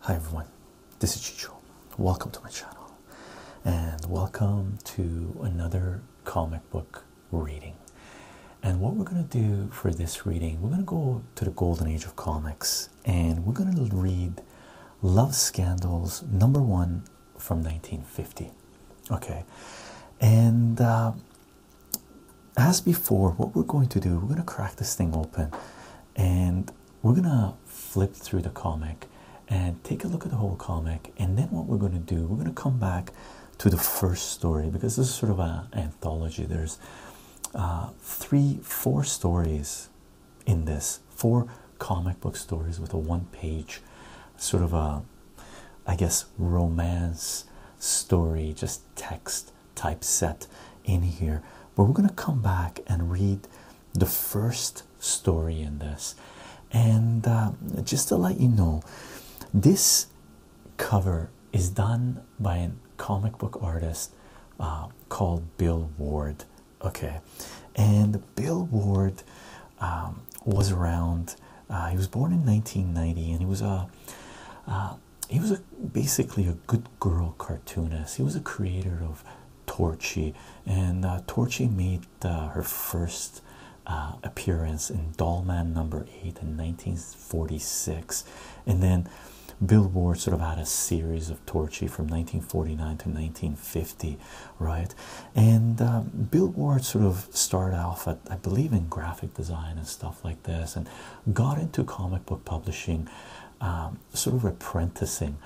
Hi everyone, this is Chicho. Welcome to my channel and welcome to another comic book reading. And what we're going to do for this reading, we're going to go to the golden age of comics and we're going to read Love Scandals number one from 1950. Okay, and uh, as before, what we're going to do, we're going to crack this thing open and we're gonna flip through the comic and take a look at the whole comic, and then what we're gonna do, we're gonna come back to the first story because this is sort of an anthology. There's uh, three, four stories in this, four comic book stories with a one page sort of a, I guess, romance story, just text type set in here, but we're going to come back and read the first story in this. And uh, just to let you know, this cover is done by a comic book artist uh, called Bill Ward. Okay, and Bill Ward um, was around. Uh, he was born in 1990, and he was a he was a, basically a good girl cartoonist. He was a creator of Torchy, and uh, Torchy made uh, her first uh, appearance in Dollman Number Eight in 1946, and then Billboard sort of had a series of Torchy from 1949 to 1950, right? And um, Billboard sort of started off I believe, in graphic design and stuff like this, and got into comic book publishing um, sort of apprenticing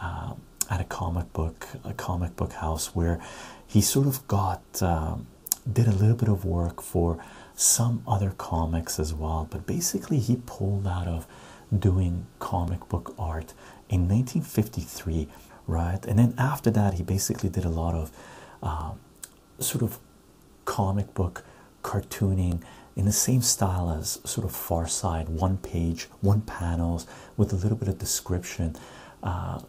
um, at a comic book, a comic book house, where he sort of got um, did a little bit of work for some other comics as well. But basically, he pulled out of doing comic book art in 1953, right? And then after that, he basically did a lot of sort of comic book cartooning in the same style as sort of Far Side, one page, one panels with a little bit of description uh,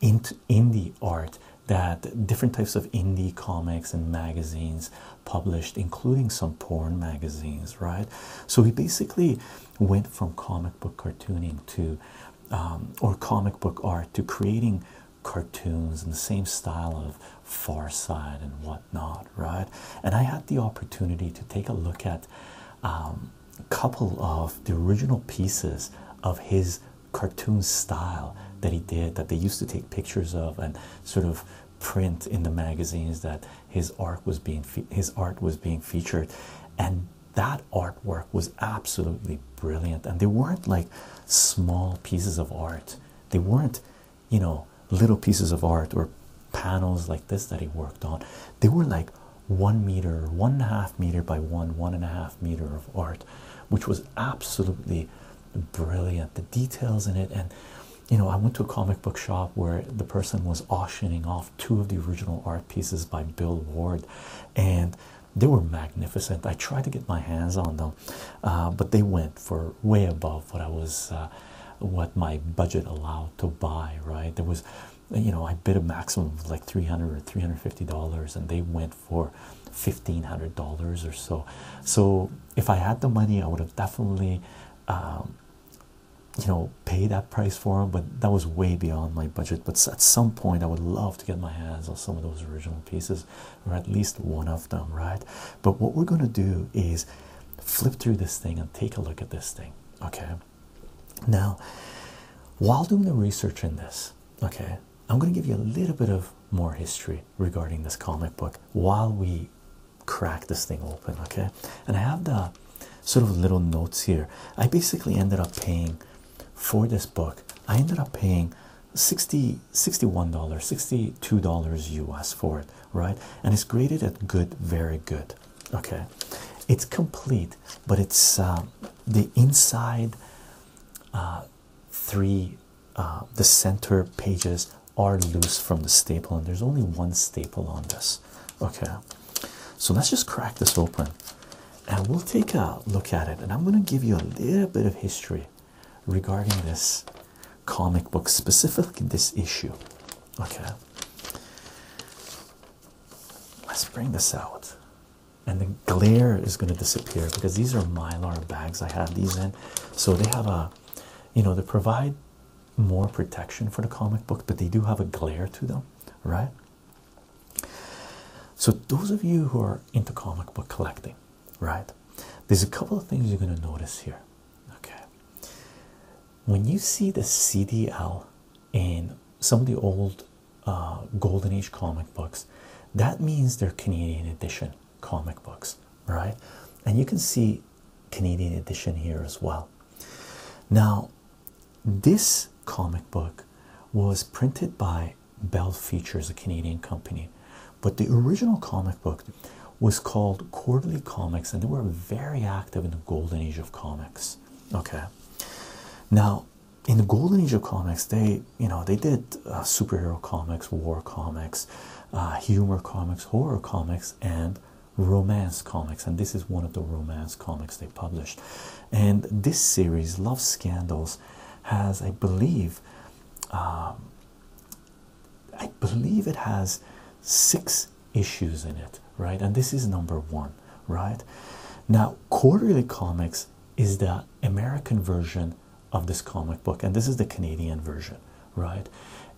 in indie art that different types of indie comics and magazines published, including some porn magazines, right? So he basically went from comic book cartooning to um, or comic book art to creating cartoons in the same style of Far Side and whatnot. Not right? And I had the opportunity to take a look at a um, couple of the original pieces of his cartoon style that he did that they used to take pictures of and sort of print in the magazines that his art was being his art was being featured and that artwork was absolutely brilliant and they weren't like small pieces of art they weren't you know, little pieces of art or panels like this that he worked on. They were like one meter, one and a half meter by one, one and a half meter of art, which was absolutely brilliant. The details in it, and you know, I went to a comic book shop where the person was auctioning off two of the original art pieces by Bill Ward, and they were magnificent. I tried to get my hands on them, uh, but they went for way above what I was uh, what my budget allowed to buy right there was you know i bid a maximum of like 300 or 350 dollars and they went for 1500 dollars or so so if i had the money i would have definitely um, you know pay that price for them but that was way beyond my budget but at some point i would love to get my hands on some of those original pieces or at least one of them right but what we're going to do is flip through this thing and take a look at this thing. Okay, now while doing the research in this, okay, I'm going to give you a little bit of more history regarding this comic book while we crack this thing open. Okay, and I have the sort of little notes here. I basically ended up paying for this book, I ended up paying. 60 dollars $62 US for it right? And it's graded at good, very good. Okay, it's complete, but it's uh, the inside uh, three, uh, the center pages are loose from the staple, and there's only one staple on this. Okay, so let's just crack this open and we'll take a look at it. And I'm going to give you a little bit of history regarding this comic book, specifically this issue okay let's bring this out and the glare is going to disappear because these are mylar bags i have these in so they have a you know they provide more protection for the comic book but they do have a glare to them right so those of you who are into comic book collecting right there's a couple of things you're going to notice here okay when you see the CDL in some of the old uh, Golden Age comic books, that means they're Canadian edition comic books, right? And you can see Canadian edition here as well. Now, this comic book was printed by Bell Features, a Canadian company, but the original comic book was called Quarterly Comics, and they were very active in the golden age of comics. Okay, now in the golden age of comics, they you know they did uh, superhero comics, war comics, uh, humor comics, horror comics, and romance comics. And this is one of the romance comics they published. And this series, Love Scandals, has I believe. Um, I believe it has six issues in it, right? And this is number one, right? Now, Quarterly Comics is the American version of this comic book, and this is the Canadian version, right?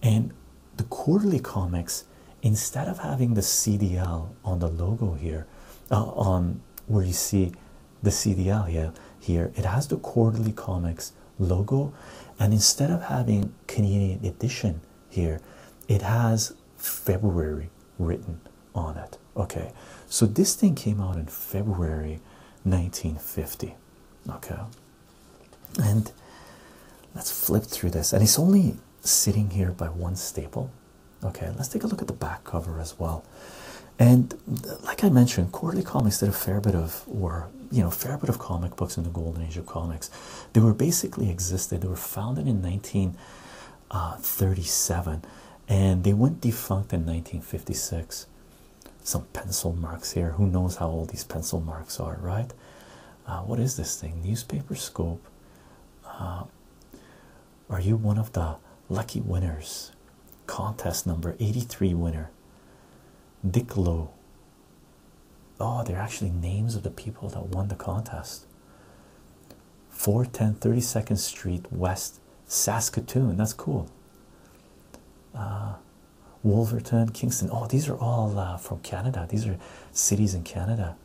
And the Quarterly Comics, instead of having the CDL on the logo here, uh, on where you see the CDL here, here it has the Quarterly Comics logo, and instead of having Canadian edition here, it has February written on it. Okay, so this thing came out in February 1950. Okay, and let's flip through this, and it's only sitting here by one staple. Okay, let's take a look at the back cover as well. And like I mentioned, quarterly comics did a fair bit of, or you know, fair bit of comic books in the golden age of comics. They were basically existed. They were founded in 1937, uh, and they went defunct in 1956. Some pencil marks here. Who knows how old these pencil marks are, right? Uh, what is this thing? Newspaper scope. Uh, are you one of the lucky winners? Contest number 83 winner. Dick Lowe Oh, they're actually names of the people that won the contest. 410 32nd Street West, Saskatoon. That's cool. Uh, Wolverton, Kingston. Oh, these are all uh, from Canada. These are cities in Canada.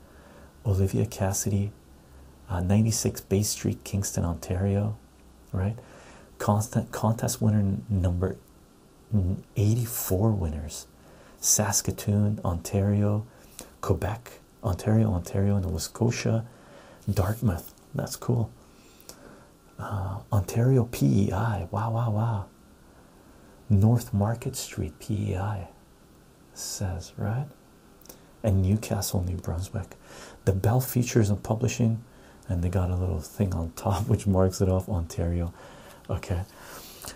Olivia Cassidy, uh, 96 Bay Street, Kingston, Ontario. Right? Constant contest winner number Mm-hmm. 84 winners Saskatoon, Ontario, Quebec, Ontario, Ontario, Nova Scotia, Dartmouth. That's cool. Uh, Ontario PEI. Wow, wow, wow. North Market Street PEI says, right? And Newcastle, New Brunswick. The Bell Features and Publishing, and they got a little thing on top which marks it off Ontario. Okay,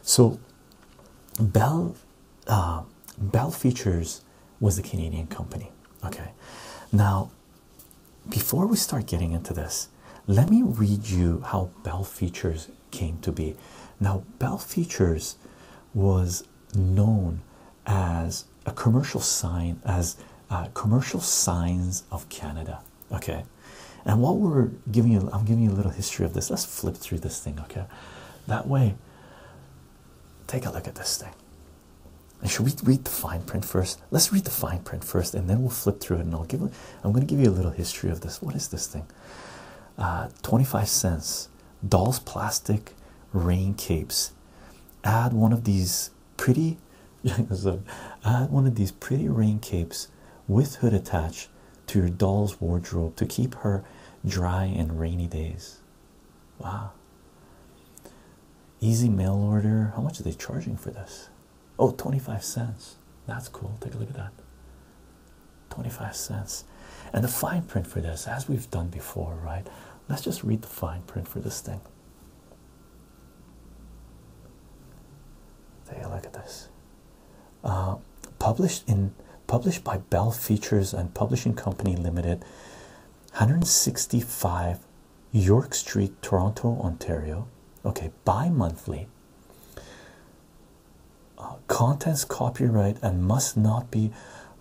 so Bell uh, Bell Features was a Canadian company. Okay, now before we start getting into this, let me read you how Bell Features came to be. Now, Bell Features was known as a commercial sign as uh, commercial signs of Canada okay and what we're giving you i'm giving you a little history of this let's flip through this thing okay that way take a look at this thing and should we read the fine print first let's read the fine print first and then we'll flip through it and i'll give i'm going to give you a little history of this what is this thing uh, 25 cents dolls plastic rain capes add one of these pretty add one of these pretty rain capes with hood attached to your doll's wardrobe to keep her dry in rainy days. Wow. Easy mail order. How much are they charging for this? Oh, 25 cents. That's cool. Take a look at that. 25 cents. And the fine print for this, as we've done before, right? Let's just read the fine print for this thing. Take a look at this. Uh, published in published by Bell Features and Publishing Company Limited, 165 York Street, Toronto, Ontario. Okay, bi-monthly. Uh, contents copyright and must not be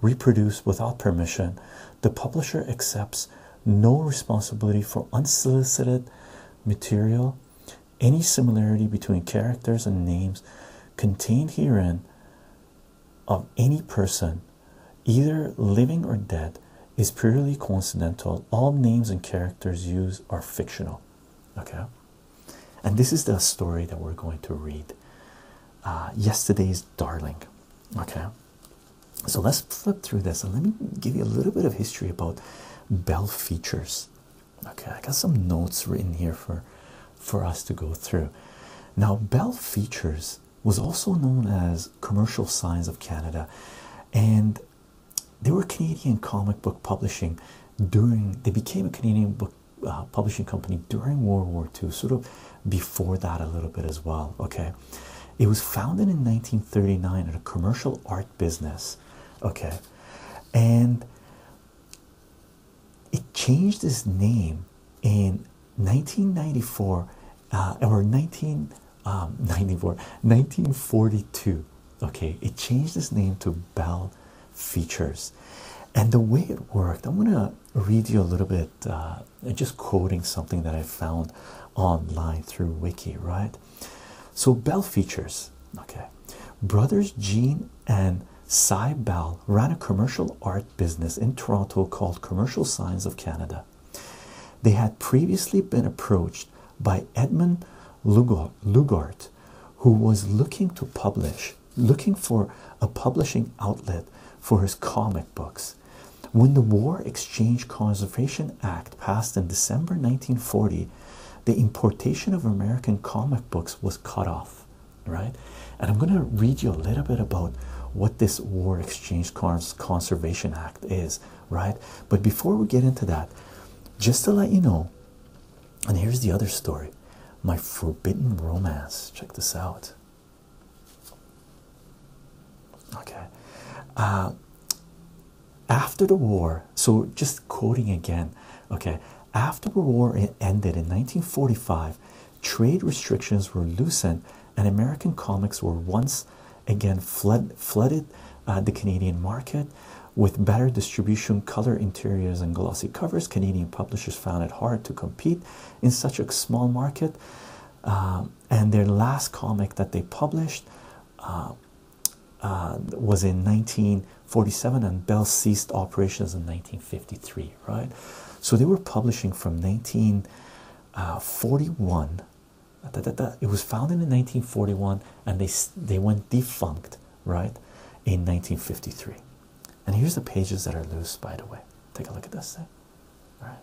reproduced without permission. The publisher accepts no responsibility for unsolicited material any similarity between characters and names contained herein of any person, either living or dead, is purely coincidental. All names and characters used are fictional. Okay, and this is the story that we're going to read. Uh, yesterday's darling. Okay, so let's flip through this and let me give you a little bit of history about Bell Features. Okay, I got some notes written here for for us to go through. Now, Bell Features was also known as Commercial Science of Canada, and they were Canadian comic book publishing during they became a Canadian book uh, publishing company during World War II, sort of before that a little bit as well. Okay, it was founded in 1939 in a commercial art business. Okay, and it changed its name in 1994 uh, or 1994, um, 1942 okay it changed its name to bell features and the way it worked i'm going to read you a little bit uh, just quoting something that i found online through wiki right so bell features Okay, brothers Jean and Cy Bell ran a commercial art business in Toronto called Commercial Signs of Canada. They had previously been approached by Edmund Lugart, who was looking to publish, looking for a publishing outlet for his comic books. When the War Exchange Conservation Act passed in December 1940, the importation of American comic books was cut off, right? And I'm going to read you a little bit about what this War Exchange Conservation Act is, right? But before we get into that, just to let you know, and here's the other story my forbidden romance. Check this out. Okay. Uh, after the war, so just quoting again. Okay, after the war ended in 1945, trade restrictions were loosened, and American comics were once again flood, flooded uh, the Canadian market with better distribution, color interiors, and glossy covers. Canadian publishers found it hard to compete in such a small market. Um, and their last comic that they published uh, uh, was in 1947 and Bell ceased operations in 1953, right? So they were publishing from 1941. Uh, uh, it was founded in 1941 and they, they went defunct, right, in 1953. And here's the pages that are loose, by the way. Take a look at this thing. All right.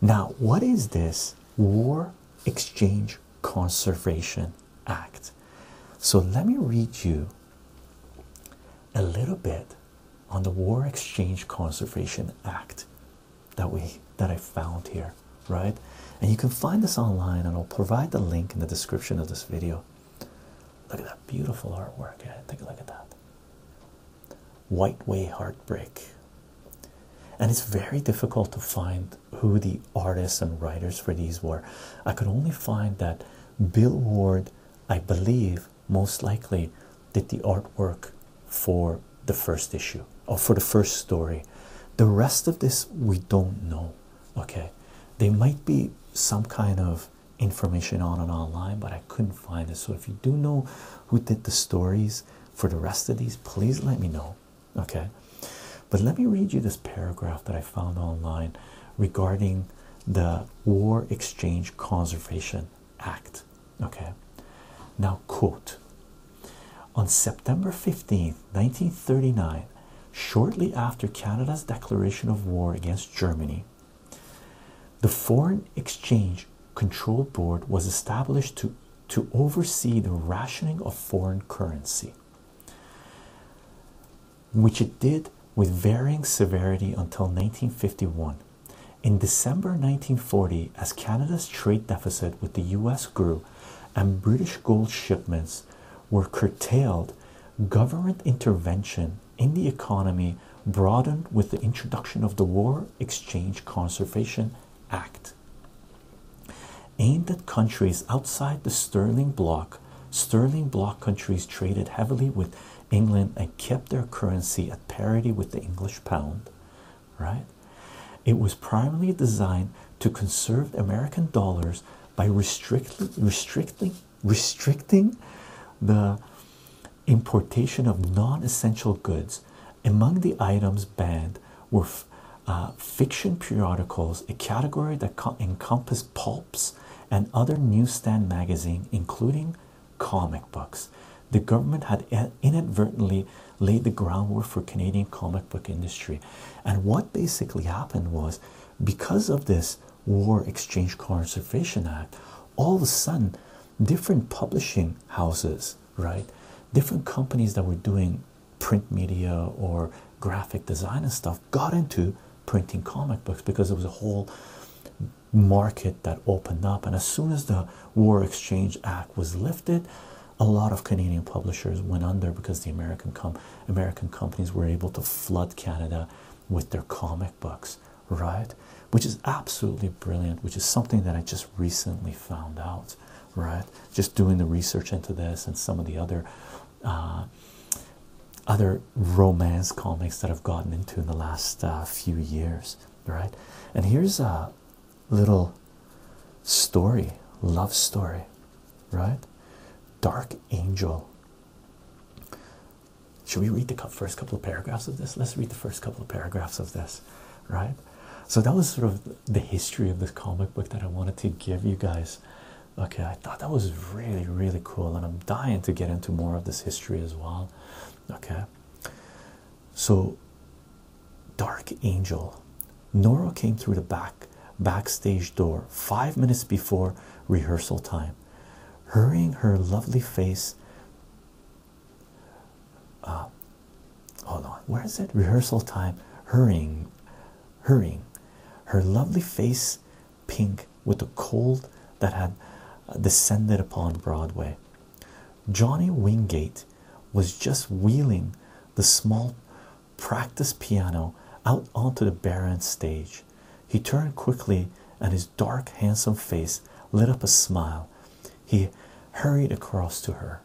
Now, what is this war exchange conservation act. So let me read you a little bit on the War Exchange Conservation Act that we that I found here, right? And you can find this online, and I'll provide the link in the description of this video. Look at that beautiful artwork. Yeah, take a look at that. White Way Heartbreak. And it's very difficult to find who the artists and writers for these were. I could only find that Bill Ward, I believe, most likely did the artwork for the first issue or for the first story. The rest of this we don't know. Okay, there might be some kind of information on and online, but I couldn't find it. So if you do know who did the stories for the rest of these, please let me know. Okay, but let me read you this paragraph that I found online regarding the War Exchange Conservation Act. Okay, now, quote On September 15, 1939, shortly after Canada's declaration of war against Germany, the Foreign Exchange Control Board was established to, to oversee the rationing of foreign currency which it did with varying severity until 1951. In December 1940, as Canada's trade deficit with the US grew and British gold shipments were curtailed, government intervention in the economy broadened with the introduction of the War Exchange Conservation Act aimed at countries outside the sterling bloc. Sterling bloc countries traded heavily with England and kept their currency at parity with the English pound, right? It was primarily designed to conserve American dollars by restricting restricting restricting the importation of non-essential goods. Among the items banned were uh, fiction periodicals, a category that encompassed pulps and other newsstand magazines, including comic books. The government had inadvertently laid the groundwork for Canadian comic book industry, and what basically happened was, because of this War Exchange Conservation Act, all of a sudden, different publishing houses, right, different companies that were doing print media or graphic design and stuff, got into printing comic books because there was a whole market that opened up. And as soon as the War Exchange Act was lifted, a lot of Canadian publishers went under because the American American companies were able to flood Canada with their comic books, right? Which is absolutely brilliant, which is something that I just recently found out, right? Just doing the research into this and some of the other uh, other romance comics that I've gotten into in the last uh, few years, right? And here's a little story, love story, right? Dark Angel. Should we read the first couple of paragraphs of this? Let's read the first couple of paragraphs of this, right? So that was sort of the history of this comic book that I wanted to give you guys Okay, I thought that was really, really cool, and I'm dying to get into more of this history as well. Okay, so Dark Angel Nora came through the back backstage door five minutes before rehearsal time, hurrying her lovely face. Uh, hold on, where is it? Rehearsal time, hurrying, hurrying. Her lovely face pink with the cold that had descended upon Broadway. Johnny Wingate was just wheeling the small practice piano out onto the barren stage. He turned quickly, and his dark, handsome face lit up a smile. He hurried across to her.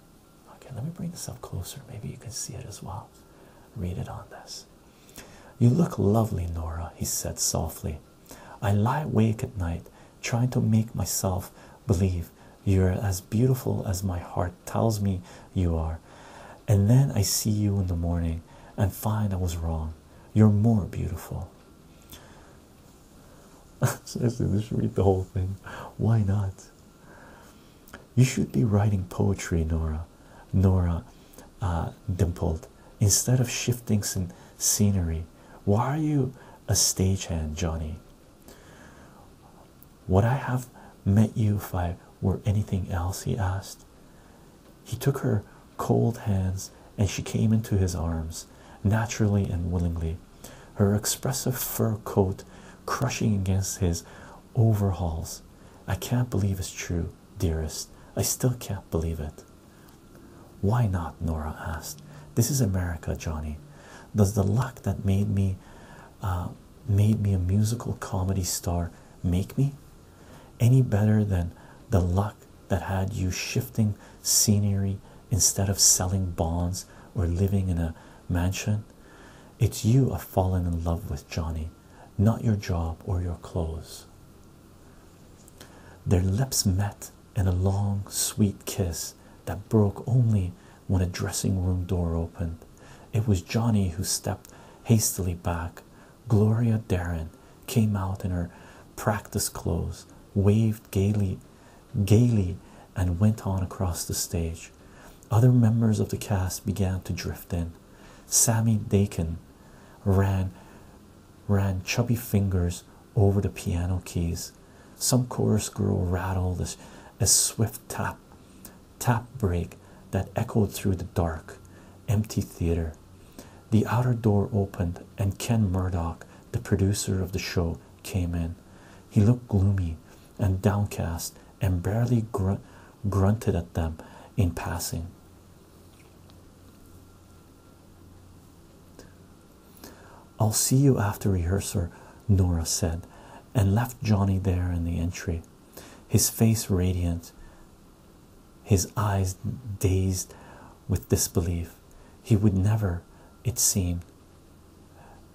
Okay, let me bring this up closer. Maybe you can see it as well. Read it on this. You look lovely, Nora, he said softly. I lie awake at night trying to make myself believe you're as beautiful as my heart tells me you are. And then I see you in the morning and find I was wrong. You're more beautiful. Seriously, just read the whole thing. Why not? You should be writing poetry, Nora. Nora, uh, dimpled. Instead of shifting some scenery, why are you a stagehand, Johnny? Would I have met you if I were anything else? He asked. He took her cold hands and she came into his arms, naturally and willingly, her expressive fur coat crushing against his overalls. I can't believe it's true dearest. I still can't believe it. Why not? Nora asked. This is America, Johnny. Does the luck that made me uh, made me a musical comedy star make me any better than the luck that had you shifting scenery instead of selling bonds or living in a mansion? It's you I've fallen in love with, Johnny not your job or your clothes. Their lips met in a long, sweet kiss that broke only when a dressing room door opened. It was Johnny who stepped hastily back. Gloria Darren came out in her practice clothes, waved gaily, gaily, and went on across the stage. Other members of the cast began to drift in. Sammy Dakin ran ran chubby fingers over the piano keys. Some chorus girl rattled a, swift tap tap break that echoed through the dark, empty theater. The outer door opened, and Ken Murdock, the producer of the show, came in. He looked gloomy and downcast and barely gr grunted at them in passing. I'll see you after rehearsal, Nora said, and left Johnny there in the entry, his face radiant, his eyes dazed with disbelief. He would never, it seemed,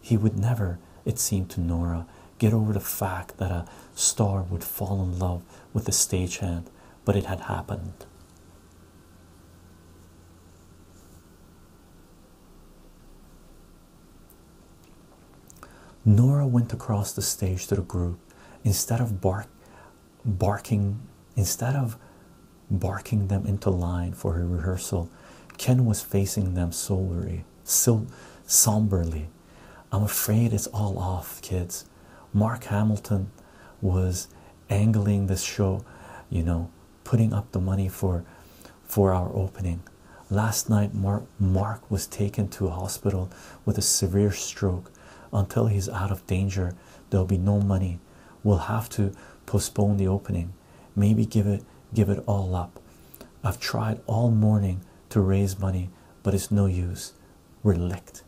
he would never, it seemed to Nora, get over the fact that a star would fall in love with the hand, but it had happened. Nora went across the stage to the group. Instead of barking, instead of barking them into line for her rehearsal, Ken was facing them soberly, so somberly, I'm afraid it's all off, kids. Mark Hamilton was angling this show, you know, putting up the money for for our opening. Last night Mark Mark was taken to a hospital with a severe stroke. Until he's out of danger, there'll be no money. We'll have to postpone the opening. Maybe give it give it all up. I've tried all morning to raise money, but it's no use. We're licked.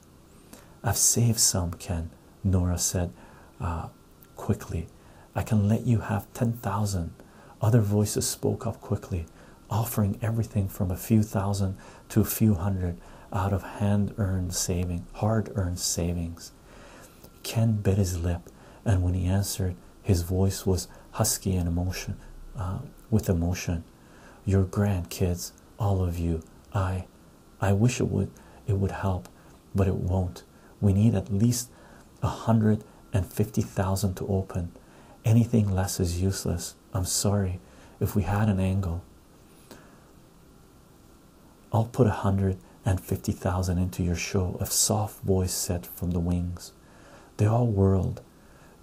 I've saved some, Ken, Nora said uh, quickly. I can let you have 10,000. Other voices spoke up quickly, offering everything from a few thousand to a few hundred out of hand earned saving, hard earned savings. Ken bit his lip, and when he answered, his voice was husky and emotion, uh, with emotion your grandkids all of you i i wish it would it would help but it won't we need at least a hundred and fifty thousand to open anything less is useless i'm sorry if we had an angle i'll put a hundred and fifty thousand into your show A soft voice said from the wings they all whirled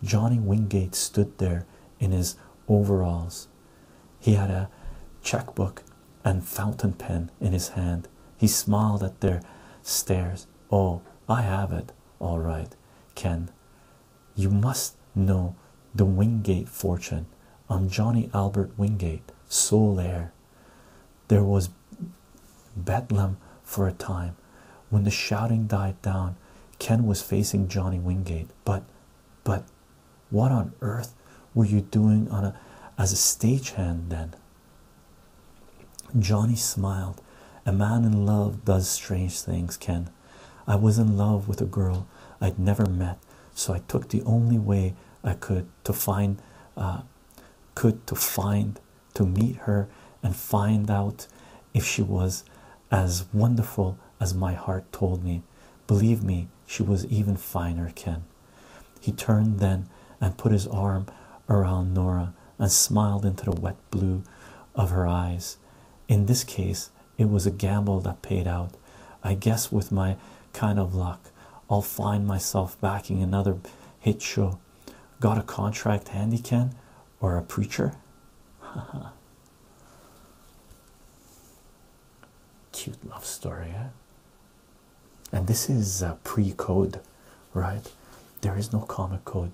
Johnny Wingate stood there in his overalls. He had a checkbook and fountain pen in his hand. He smiled at their stares. Oh, I have it. All right, Ken. You must know the Wingate fortune. I'm Johnny Albert Wingate, sole heir. There was bedlam for a time. When the shouting died down, Ken was facing Johnny Wingate, but but what on earth were you doing on a as a stagehand then? Johnny smiled. A man in love does strange things, Ken. I was in love with a girl I'd never met, so I took the only way I could to find uh, could to find to meet her and find out if she was as wonderful as my heart told me. Believe me, she was even finer, Ken. He turned then and put his arm around Nora and smiled into the wet blue of her eyes. In this case, it was a gamble that paid out. I guess with my kind of luck, I'll find myself backing another hit show. Got a contract handy, Ken? Or a preacher? Ha ha. Cute love story, eh? And this is uh, pre code, right? There is no comic code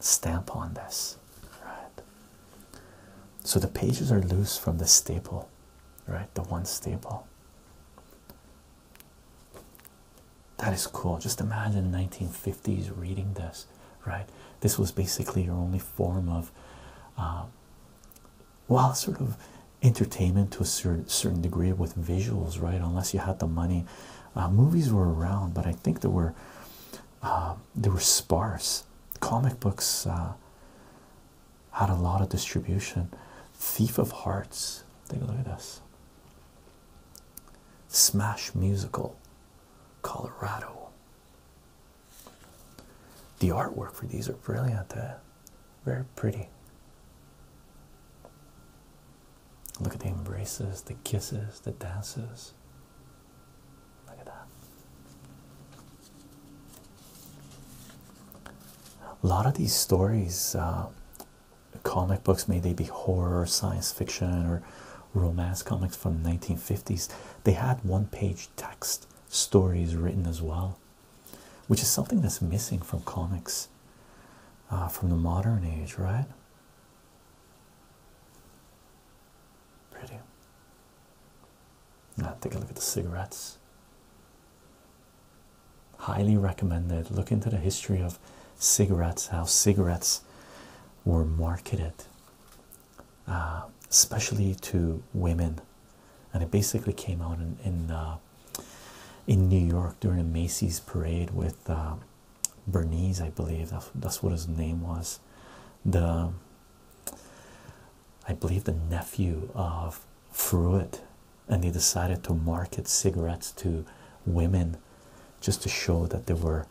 stamp on this, right? So the pages are loose from the staple, right? The one staple. That is cool. Just imagine 1950s reading this right? This was basically your only form of, uh, well, sort of entertainment to a certain degree with visuals, right? Unless you had the money, uh, movies were around, but I think there were uh, were sparse. Comic books uh, had a lot of distribution. Thief of Hearts. Take a look at this. Smash Musical, Colorado. The artwork for these are brilliant, eh? Very pretty. Look at the embraces, the kisses, the dances. Look at that. A lot of these stories, uh, comic books, may they be horror, science fiction, or romance comics from the 1950s they had one page text stories written as well which is something that's missing from comics uh, from the modern age right pretty now take a look at the cigarettes highly recommended look into the history of cigarettes how cigarettes were marketed uh, especially to women, and it basically came out in in, uh, New York during a Macy's parade with uh, Bernese, I believe that's, what his name was. The I believe the nephew of Fruit, and they decided to market cigarettes to women just to show that there were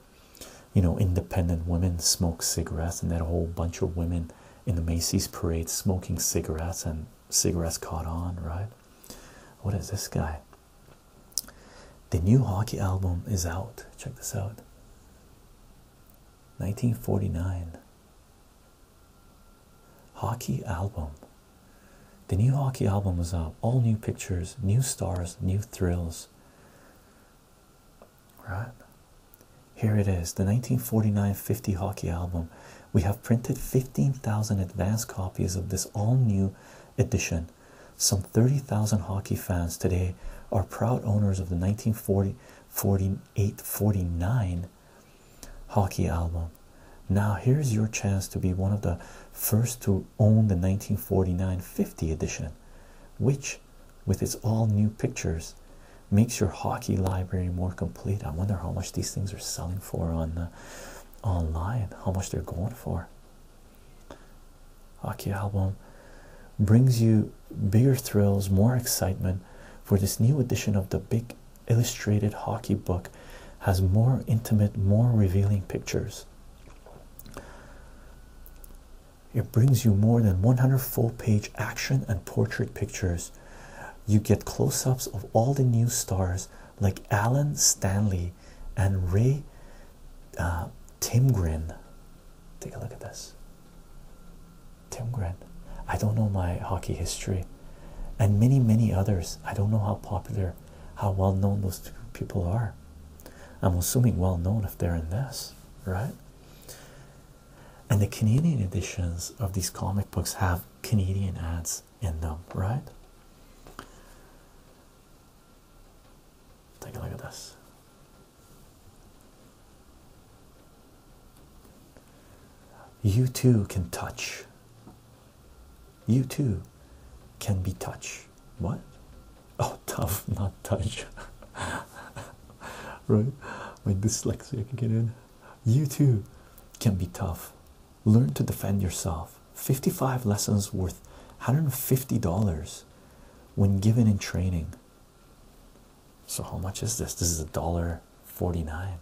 you know, independent women smoke cigarettes, and that whole bunch of women in the Macy's parade smoking cigarettes, and cigarettes caught on, right? What is this guy? The new hockey album is out. Check this out. 1949. Hockey album. The new hockey album is out. All new pictures, new stars, new thrills right here it is the 1949-50 hockey album we have printed 15,000 advance copies of this all-new edition some 30,000 hockey fans today are proud owners of the 1948 49 hockey album now here's your chance to be one of the first to own the 1949-50 edition which with its all new pictures makes your hockey library more complete. I wonder how much these things are selling for on the uh, online, how much they're going for. Hockey album brings you bigger thrills, more excitement for this new edition of the big illustrated hockey book has more intimate, more revealing pictures. It brings you more than 100 full page action and portrait pictures. You get close ups of all the new stars like Alan Stanley and Ray uh, Timgrin. Take a look at this. Timgrin. I don't know my hockey history. And many, many others. I don't know how popular, how well known those two people are. I'm assuming well known if they're in this, right? and the Canadian editions of these comic books have Canadian ads in them, right? Take a look at this. You too can touch. You too can be touch. What? oh tough not touch right my dyslexia can get in you too can be tough learn to defend yourself 55 lessons worth $150 when given in training so how much is this this is a dollar 49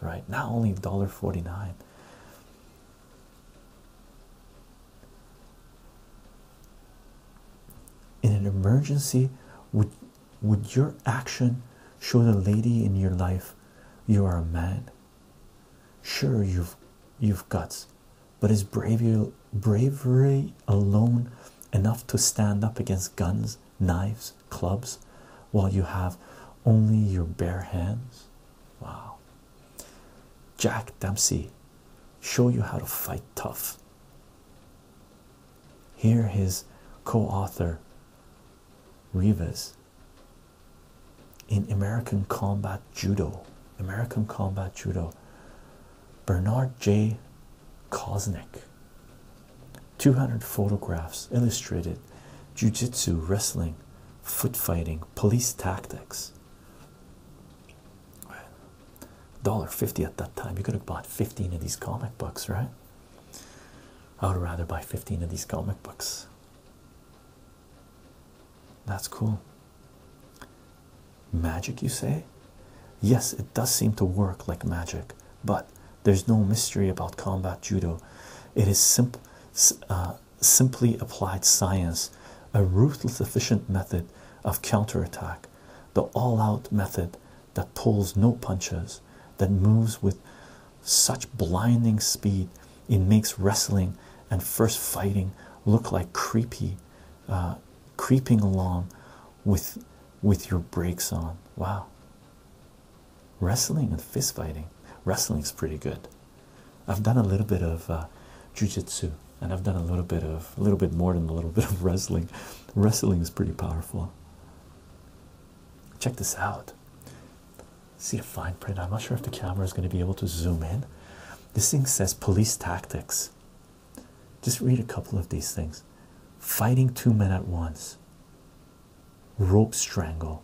right not only dollar 49 in an emergency would would your action show the lady in your life you are a man sure you've you've guts but is bravery bravery alone enough to stand up against guns knives clubs while you have only your bare hands wow jack dempsey show you how to fight tough here, his co author Rivas in American Combat Judo, American Combat Judo, Bernard J. Kosnick. 200 photographs illustrated jiu-jitsu wrestling foot fighting police tactics $1.50 at that time. You could have bought 15 of these comic books, right? I would rather buy 15 of these comic books. That's cool. Magic, you say? Yes, it does seem to work like magic, but there's no mystery about combat judo. It is uh, simply applied science, a ruthless, efficient method of counterattack the all out method that pulls no punches, that moves with such blinding speed, it makes wrestling and first fighting look like creepy, uh, creeping along with, with your brakes on. Wow. Wrestling and fist fighting. Wrestling's pretty good. I've done a little bit of uh, jujitsu, and I've done a little bit of a little bit more than a little bit of wrestling. Wrestling is pretty powerful. Check this out. See the fine print. I'm not sure if the camera is going to be able to zoom in. This thing says police tactics. Just read a couple of these things fighting two men at once, rope strangle,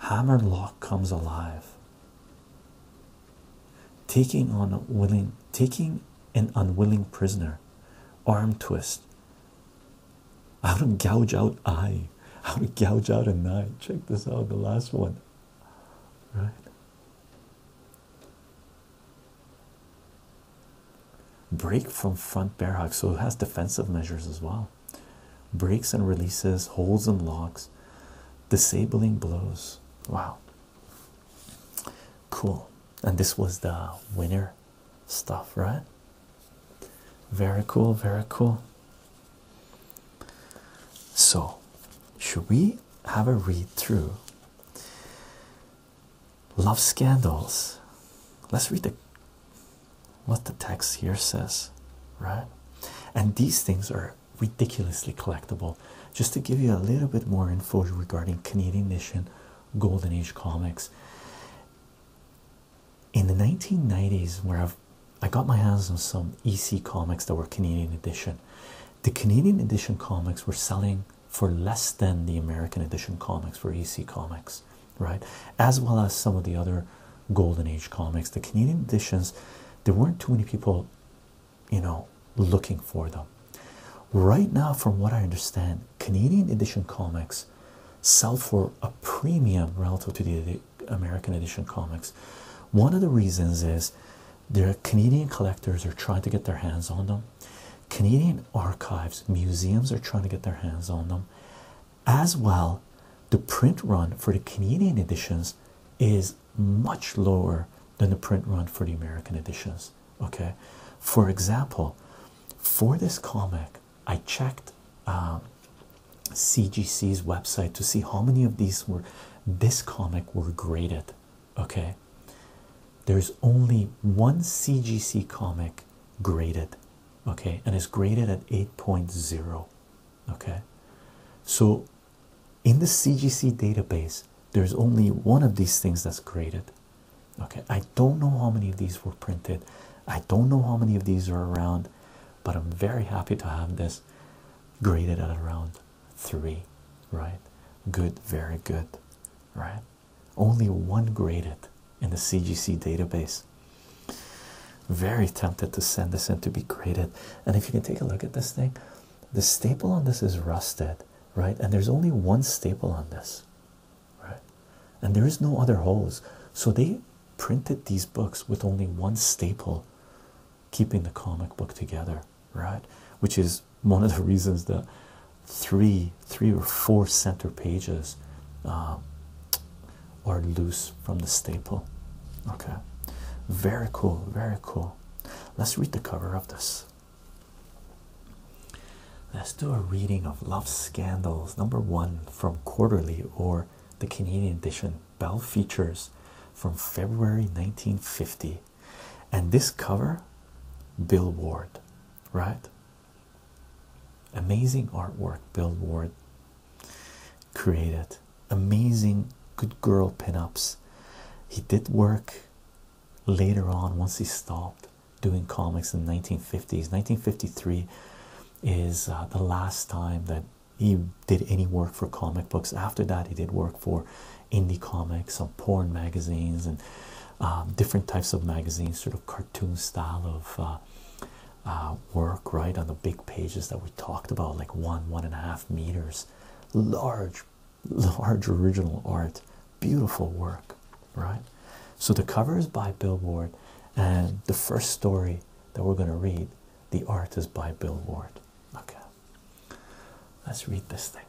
hammer lock comes alive, taking on willing, taking an unwilling prisoner, arm twist, how to gouge out eye, how to gouge out an eye. Check this out, the last one, right? Break from front bear hug, so it has defensive measures as well. Breaks and releases, holds and locks, disabling blows. Wow, Cool. And this was the winner stuff, right? Very cool, very cool. So, should we have a read through? Love Scandals. Let's read the what the text here says, right? And these things are ridiculously collectible. Just to give you a little bit more info regarding Canadian mission golden age comics in the 1990s where i I got my hands on some EC comics that were Canadian edition. The Canadian edition comics were selling for less than the American edition comics for EC comics, right? As well as some of the other golden age comics. The Canadian editions, there weren't too many people, you know, looking for them. Right now, from what I understand, Canadian edition comics sell for a premium relative to the American edition comics. One of the reasons is their Canadian collectors are trying to get their hands on them. Canadian archives, museums are trying to get their hands on them. As well, the print run for the Canadian editions is much lower than the print run for the American editions. Okay, for example, for this comic, I checked um, CGC's website to see how many of these were this comic were graded. Okay, there's only one CGC comic graded, okay, and it's graded at 8.0. Okay, so in the CGC database, there's only one of these things that's graded. Okay, I don't know how many of these were printed, I don't know how many of these are around, but I'm very happy to have this graded at around three, right? Good, very good, right? Only one graded in the CGC database. Very tempted to send this in to be graded. And if you can take a look at this thing, the staple on this is rusted, right? And there's only one staple on this right? And there is no other holes. so they printed these books with only one staple keeping the comic book together, right? Which is one of the reasons that three, three or four center pages um, are loose from the staple. Okay, very cool, very cool. Let's read the cover of this. Let's do a reading of Love Scandals, number one from Quarterly or the Canadian edition, Bell Features from February 1950. And this cover, Bill Ward, right? Amazing artwork, Bill Ward created. Amazing good girl pinups. He did work later on once he stopped doing comics in the 1950s 1953 is uh, the last time that he did any work for comic books after that he did work for indie comics some porn magazines and um, different types of magazines sort of cartoon style of uh, uh, work right on the big pages that we talked about like one one and a half meters large large original art, beautiful work, right? So the cover is by Billboard, and the first story that we're going to read, the art is by Billboard. Okay, let's read this thing.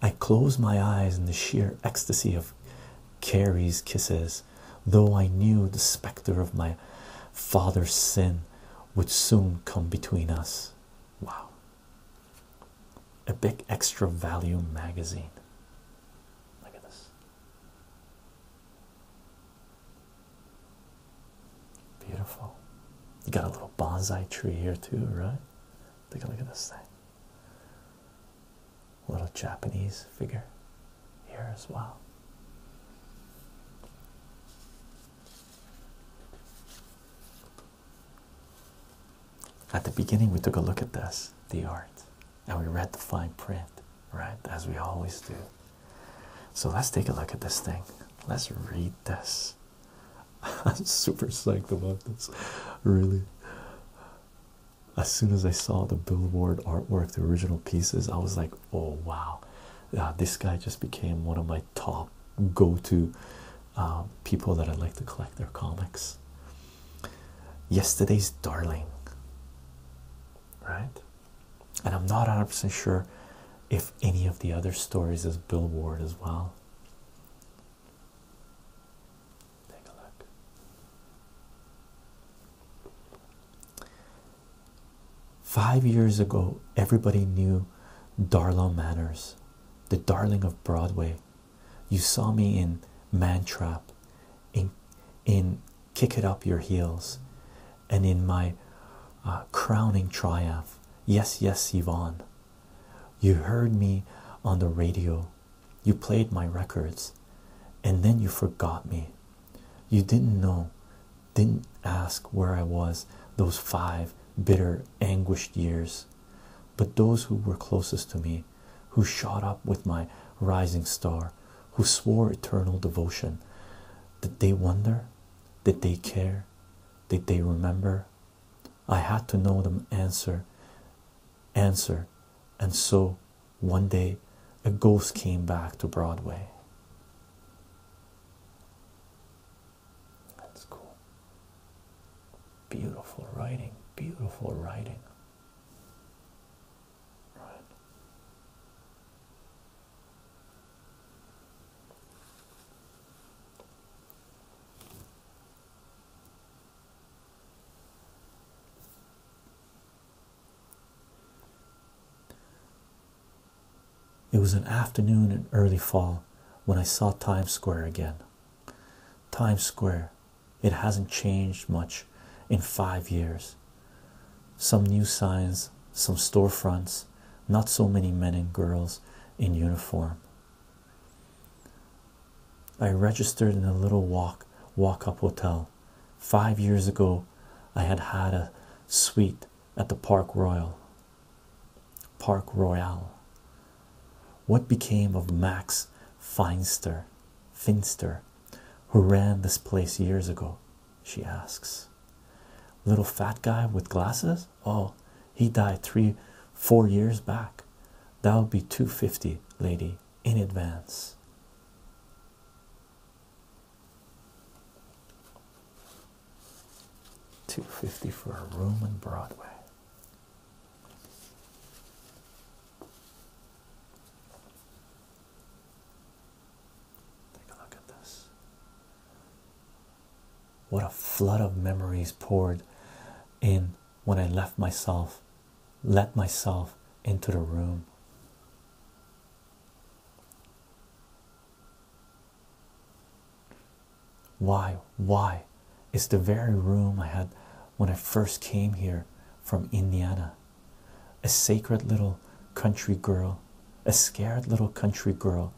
I closed my eyes in the sheer ecstasy of Carrie's kisses, though I knew the specter of my father's sin would soon come between us. Wow a big extra value magazine. Look at this. Beautiful. You got a little bonsai tree here too, right? Take a look at this thing. little Japanese figure here as well. At the beginning, we took a look at this, the art, and we read the fine print, right? As we always do. So let's take a look at this thing. Let's read this. I'm super psyched about this, really. As soon as I saw the billboard artwork, the original pieces, I was like, oh wow, uh, this guy just became one of my top go to um, people that I like to collect their comics. Yesterday's Darling, right? And I'm not 100 sure if any of the other stories is Billboard as well. Take a look. Five years ago, everybody knew Darla Manners the Darling of Broadway. You saw me in Mantrap, in in Kick It Up Your Heels, and in my uh, crowning triumph. Yes, yes, Yvonne. You heard me on the radio. You played my records, and then you forgot me. You didn't know, didn't ask where I was those five bitter, anguished years but those who were closest to me, who shot up with my rising star, who swore eternal devotion. Did they wonder? Did they care? Did they remember? I had to know them answer, answer, and so one day a ghost came back to Broadway. That's cool. Beautiful writing, beautiful writing. Right. It was an afternoon in early fall when I saw Times Square again. Times Square, it hasn't changed much in five years. Some new signs, some storefronts, not so many men and girls in uniform. I registered in a little walk walk up hotel. Five years ago, I had had a suite at the Park Royal. Park Royal. What became of Max Feinster, Finster, who ran this place years ago? She asks. Little fat guy with glasses? Oh, he died three, four years back. That will be 250, lady, in advance. Two fifty for a room on Broadway. Take a look at this. What a flood of memories poured in when I left myself, let myself into the room. Why? Why? It's the very room I had when I first came here from Indiana. A sacred little country girl, a scared little country girl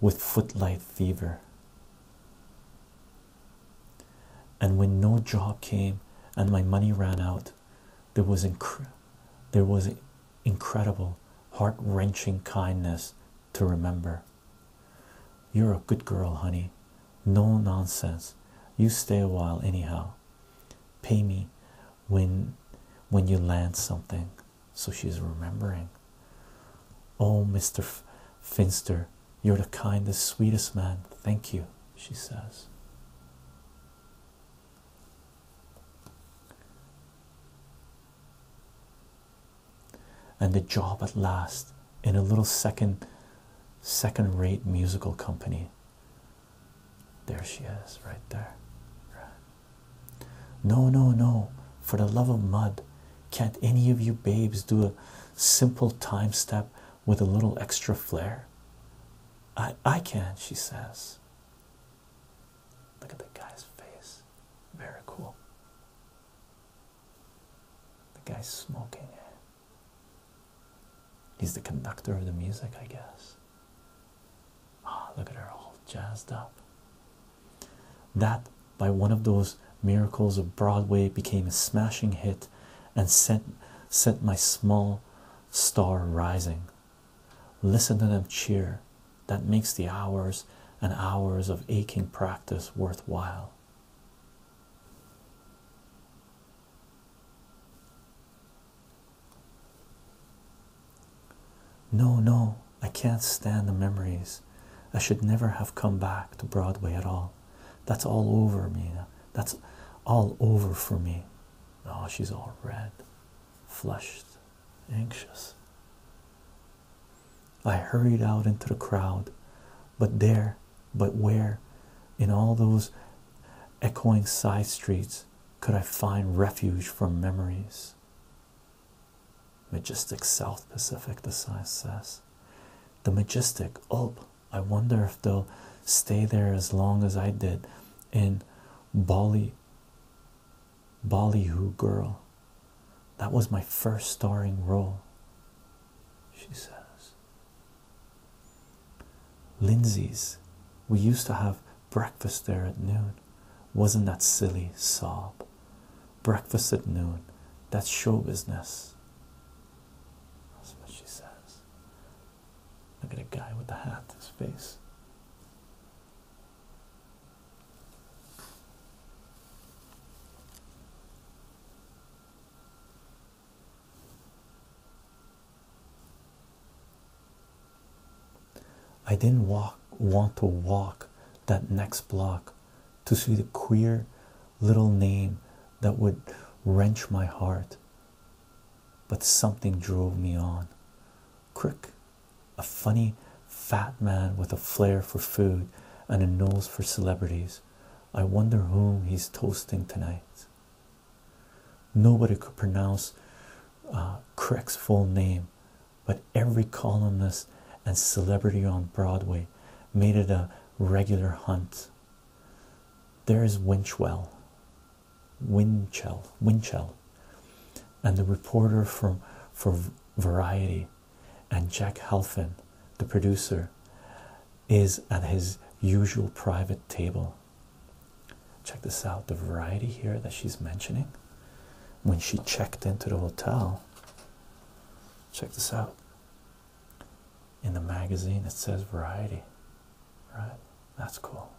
with footlight fever. And when no job came and my money ran out, there was, there was incredible, heart wrenching kindness to remember. You're a good girl, honey. No nonsense. You stay a while anyhow. Pay me when when you land something. So she's remembering. Oh, Mr. Finster, you're the kindest, sweetest man. Thank you, she says and the job at last in a little second second rate musical company there she is right there no no no for the love of mud can't any of you babes do a simple time step with a little extra flair i i can not she says look at the guy's face very cool the guy's smoking. He's the conductor of the music, I guess. Ah, look at her all jazzed up. That, by one of those miracles of Broadway, became a smashing hit and set, set my small star rising. Listen to them cheer. That makes the hours and hours of aching practice worthwhile. No, no, I can't stand the memories. I should never have come back to Broadway at all. That's all over, Mina. That's all over for me. Oh, she's all red, flushed, anxious. I hurried out into the crowd, but there, but where, in all those echoing side streets, could I find refuge from memories? Majestic South Pacific, the sign says. The majestic Ulp. Oh, I wonder if they'll stay there as long as I did in Bali. Ballyhoo girl that was my first starring role, she says. Lindsay's, we used to have breakfast there at noon. Wasn't that silly sob? Breakfast at noon. That show business. That's what she says. Look at the guy with the hat, his face. I didn't want to walk that next block to see the queer little name that would wrench my heart, but something drove me on. Crick, a funny fat man with a flair for food and a nose for celebrities, I wonder whom he's toasting tonight. Nobody could pronounce uh, Crick's full name, but every columnist and celebrity on Broadway made it a regular hunt. There's Winchell, Winchell, Winchell, and the reporter from for Variety and Jack Halfin, the producer, is at his usual private table. Check this out the variety here that she's mentioning when she checked into the hotel. Check this out. In the magazine, it says variety, right? That's cool.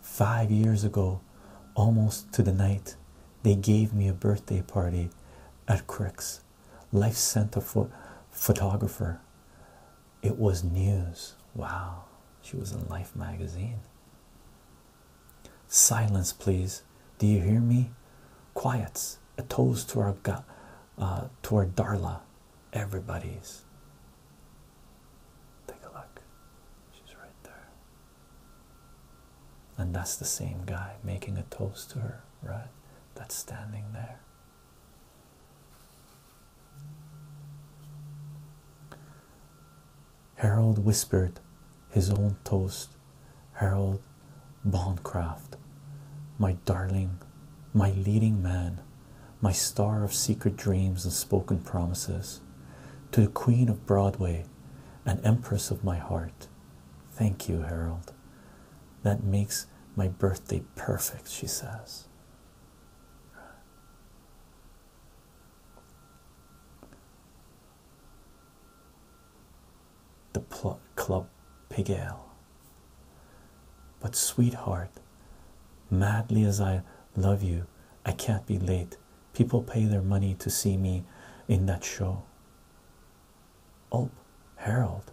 Five years ago, almost to the night, they gave me a birthday party at Crick's Life Center for photographer. It was news. Wow, she was in Life magazine. Silence, please. Do you hear me? Quiets. A toast to our God, uh, to our Darla. Everybody's. Take a look. She's right there. And that's the same guy making a toast to her, right? That's standing there. Harold whispered his own toast. Harold Bondcraft, my darling, my leading man, my star of secret dreams and spoken promises, to the Queen of Broadway, an empress of my heart. Thank you, Harold. That makes my birthday perfect, she says the club pig But, sweetheart, madly as I love you, I can't be late. People pay their money to see me in that show. Oh, Harold,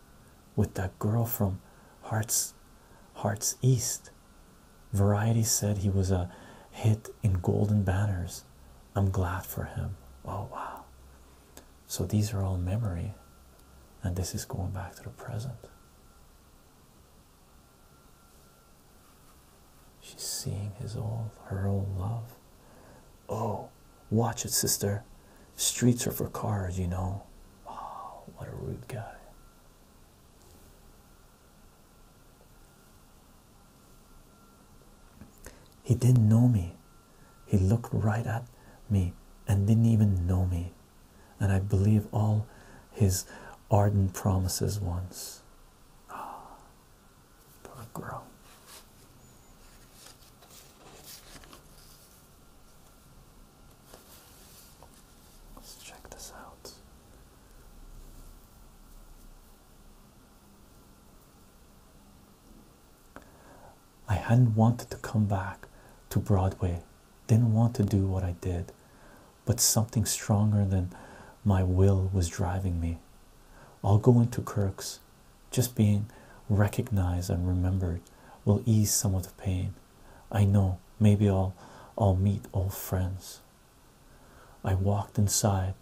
with that girl from Hearts, Hearts East. Variety said he was a hit in Golden Banners. I'm glad for him. Oh, wow. So these are all memory, and this is going back to the present. She's seeing his old, her old love. Oh, watch it, sister. Streets are for cars, you know. Wow, oh, what a rude guy. He didn't know me, he looked right at me and didn't even know me. And I believe all his ardent promises once. Oh, poor girl. Let's check this out. I hadn't wanted to come back to Broadway, didn't want to do what I did, but something stronger than my will was driving me. I'll go into Kirk's. Just being recognized and remembered will ease some of the pain. I know maybe I'll I'll meet old friends. I walked inside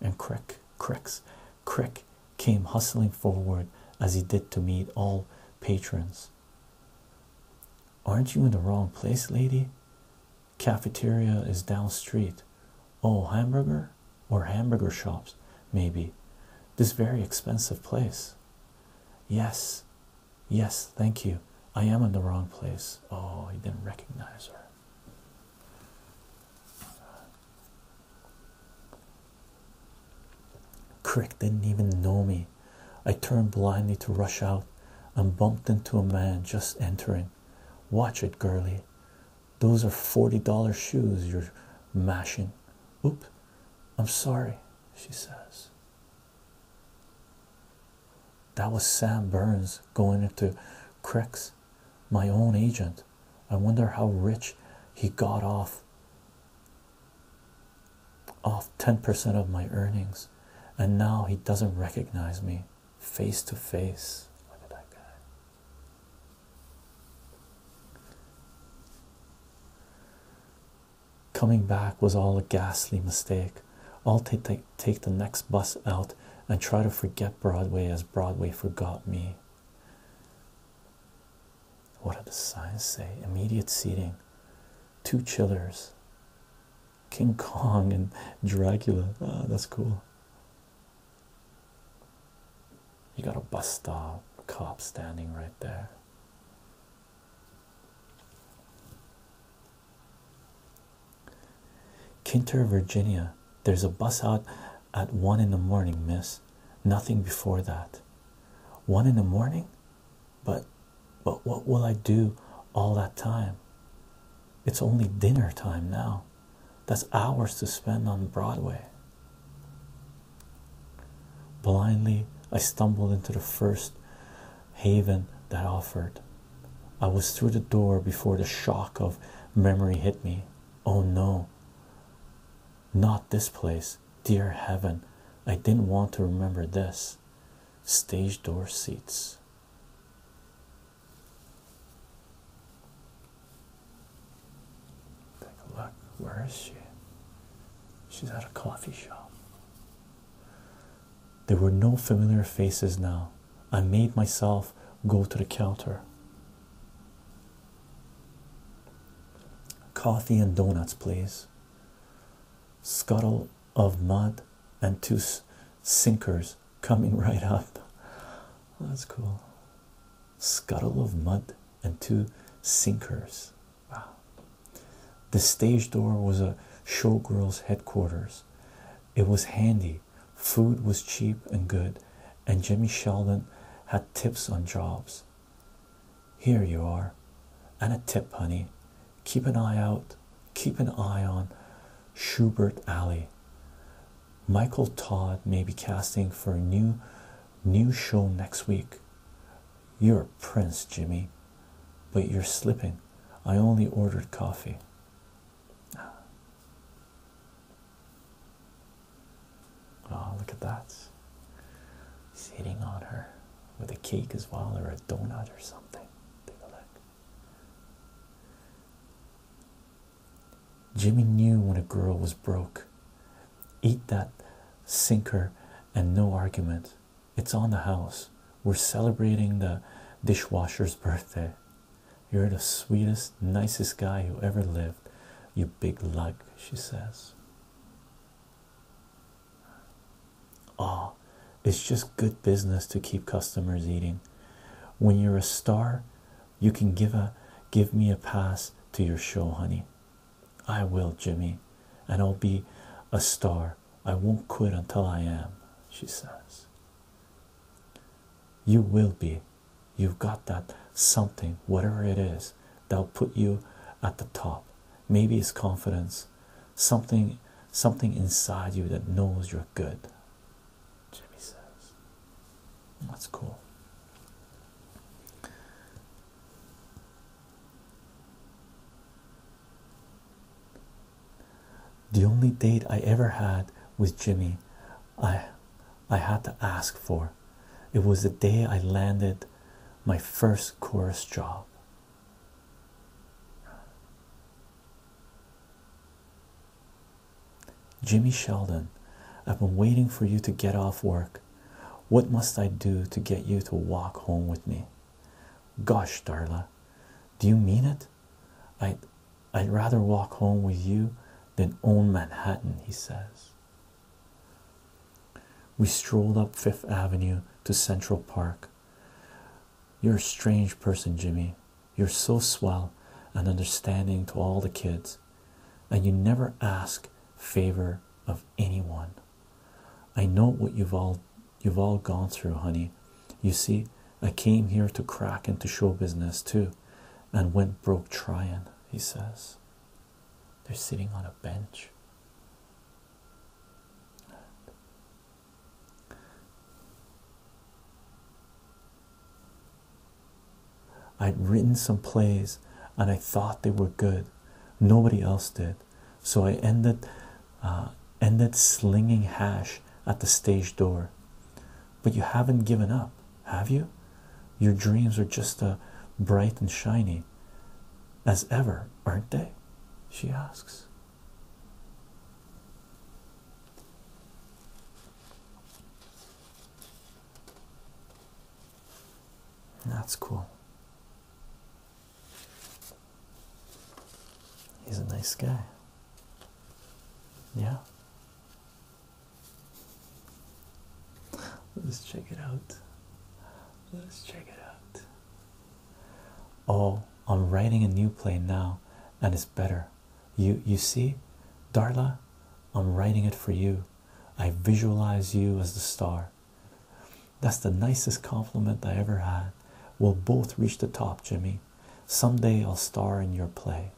and Crick Crick's Crick came hustling forward as he did to meet all patrons. Aren't you in the wrong place, lady? Cafeteria is down street. Oh, hamburger or hamburger shops, maybe. This very expensive place. Yes, yes, thank you. I am in the wrong place. Oh, he didn't recognize her. Crick didn't even know me. I turned blindly to rush out and bumped into a man just entering. Watch it, girlie. Those are $40 shoes you're mashing. Oop, I'm sorry, she says. That was Sam Burns going into Crick's, my own agent. I wonder how rich he got off off 10% of my earnings, and now he doesn't recognize me face to face. Look at that guy. Coming back was all a ghastly mistake. I'll take the next bus out and try to forget Broadway as Broadway forgot me what did the signs say? Immediate seating, two chillers, King Kong and Dracula. Ah, that's cool. You got a bus stop cop standing right there. Kinter, Virginia. There's a bus out at one in the morning, miss. Nothing before that. One in the morning? But but what will I do all that time? It's only dinner time now. That's hours to spend on Broadway. Blindly, I stumbled into the first haven that offered. I was through the door before the shock of memory hit me. Oh no, not this place. Dear heaven, I didn't want to remember this. Stage door seats. Take a look. Where is she? She's at a coffee shop. There were no familiar faces now. I made myself go to the counter. Coffee and donuts, please. Scuttle of mud and two sinkers coming right up. That's cool. Scuttle of mud and two sinkers. Wow. The stage door was a showgirl's headquarters. It was handy, food was cheap and good, and Jimmy Sheldon had tips on jobs. Here you are. And a tip, honey. Keep an eye out. Keep an eye on Schubert Alley. Michael Todd may be casting for a new new show next week. You're a prince, Jimmy, but you're slipping. I only ordered coffee. Oh, look at that. Sitting on her with a cake as well, or a donut or something. Take a look. Jimmy knew when a girl was broke. Eat that sinker and no argument. It's on the house. We're celebrating the dishwasher's birthday. You're the sweetest, nicest guy who ever lived, you big lug, she says. Oh, it's just good business to keep customers eating. When you're a star, you can give a give me a pass to your show, honey. I will, Jimmy, and I'll be a star. I won't quit until I am, she says. You will be. You've got that something, whatever it is that'll put you at the top. Maybe it's confidence, something something inside you that knows you're good. Jimmy says. That's cool. The only date I ever had with Jimmy, I I had to ask for it was the day I landed my first chorus job. Jimmy Sheldon, I've been waiting for you to get off work. What must I do to get you to walk home with me? Gosh, Darla, do you mean it? I'd, I'd rather walk home with you than own Manhattan, he says. We strolled up Fifth Avenue to Central Park. You're a strange person, Jimmy. You're so swell and understanding to all the kids, and you never ask favor of anyone. I know what you've all you've all gone through, honey. You see, I came here to crack into show business too, and went broke trying, he says. They're sitting on a bench. I'd written some plays and I thought they were good. Nobody else did. So I ended uh, ended slinging hash at the stage door. But you haven't given up, have you? Your dreams are just uh, bright and shiny as ever, aren't they? she asks. That's cool. He's a nice guy. Yeah. Let's check it out. Let's check it out. Oh, I'm writing a new play now, and it's better. You you see, Darla, I'm writing it for you. I visualize you as the star. That's the nicest compliment I ever had. We'll both reach the top, Jimmy. Someday I'll star in your play.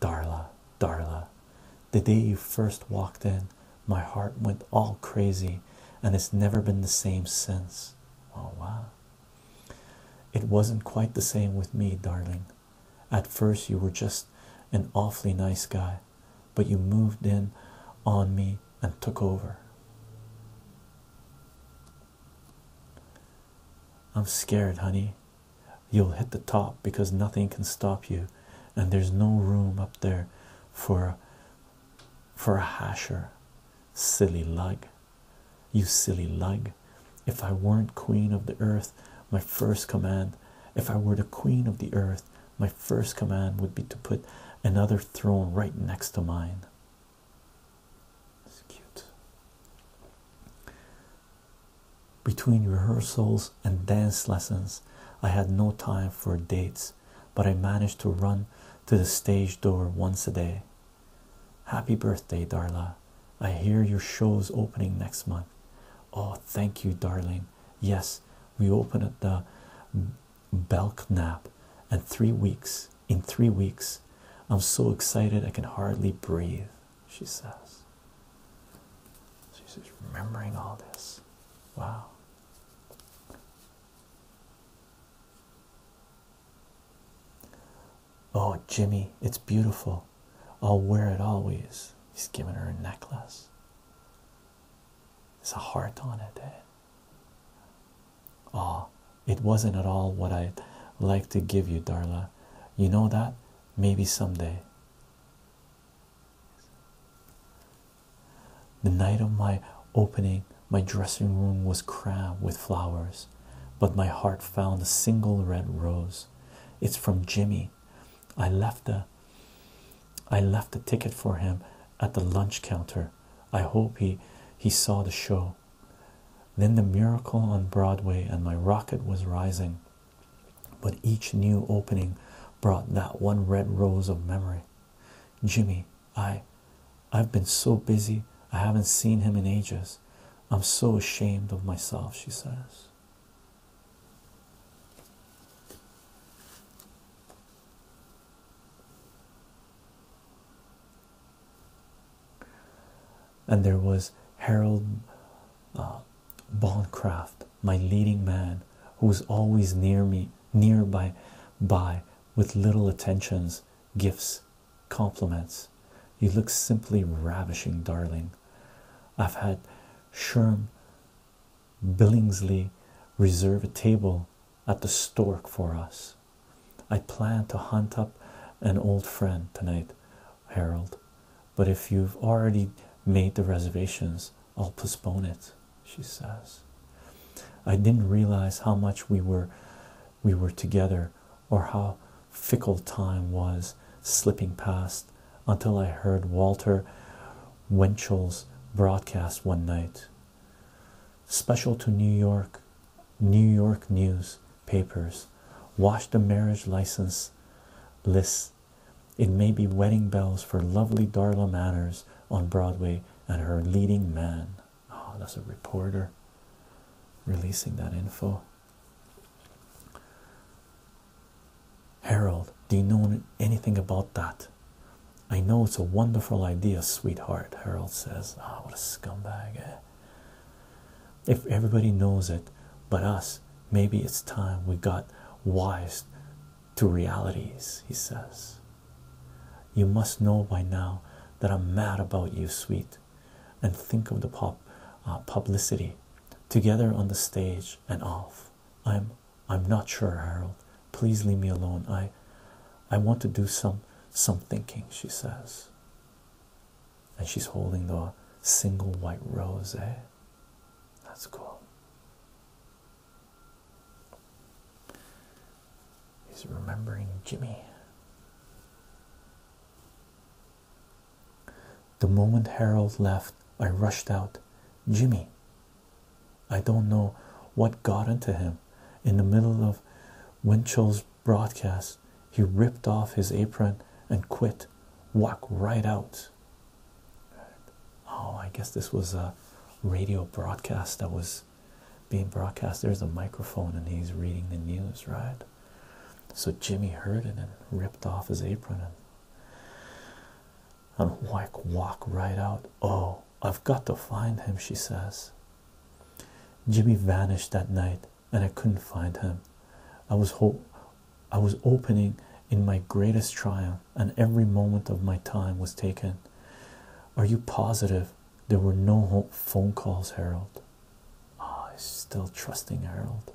Darla, Darla, the day you first walked in, my heart went all crazy and it's never been the same since. Oh, wow. It wasn't quite the same with me, darling. At first, you were just an awfully nice guy, but you moved in on me and took over. I'm scared, honey. You'll hit the top because nothing can stop you, and there's no room up there for for a hasher. Silly lug. You silly lug. If I weren't queen of the earth, my first command, if I were the queen of the earth, my first command would be to put another throne right next to mine. It's cute. Between rehearsals and dance lessons, I had no time for dates but I managed to run to the stage door once a day. Happy birthday, Darla. I hear your show's opening next month. Oh, thank you, darling. Yes, we open at the Belknap in three weeks. In three weeks, I'm so excited I can hardly breathe, she says. She's remembering all this. Wow. Oh, Jimmy, it's beautiful. I'll wear it always. He's giving her a necklace. There's a heart on it. Eh? Oh, it wasn't at all what I'd like to give you, Darla. You know that? Maybe someday. The night of my opening, my dressing room was crammed with flowers, but my heart found a single red rose. It's from Jimmy. I left a I left a ticket for him at the lunch counter. I hope he he saw the show. Then the miracle on Broadway and my rocket was rising. But each new opening brought that one red rose of memory. Jimmy, I I've been so busy I haven't seen him in ages. I'm so ashamed of myself, she says. And there was Harold uh, my leading man, who was always near me near by by with little attentions, gifts, compliments. You look simply ravishing, darling. I've had Sherm Billingsley reserve a table at the Stork for us. I plan to hunt up an old friend tonight, Harold, but if you've already made the reservations, I'll postpone it she says. I didn't realize how much we were we were together or how fickle time was slipping past until I heard Walter Winchell's broadcast one night. Special to New York, New York newspapers, papers. Watch the marriage license list. It may be wedding bells for lovely Darla Manners on Broadway and her leading man. Oh, that's a reporter releasing that info. Harold, do you know anything about that? I know it's a wonderful idea, sweetheart. Harold says, Ah, what a scumbag. Eh? If everybody knows it but us, maybe it's time we got wise to realities, he says. You must know by now that I'm mad about you, sweet. And think of the pop uh, publicity together on the stage and off. I'm I'm not sure, Harold. Please leave me alone. I I want to do some some thinking, she says. And she's holding the single white rose, eh? That's cool. He's remembering Jimmy. The moment Harold left, I rushed out. Jimmy. I don't know what got into him. In the middle of Winchell's broadcast, he ripped off his apron and quit. Walk right out. Oh, I guess this was a radio broadcast that was being broadcast. There's a microphone and he's reading the news, right? So Jimmy heard it and ripped off his apron and, and like walk right out. Oh, I've got to find him, she says. Jimmy vanished that night and I couldn't find him. I was hope I was opening in my greatest triumph and every moment of my time was taken are you positive there were no phone calls, Harold? Ah, oh, still trusting Harold.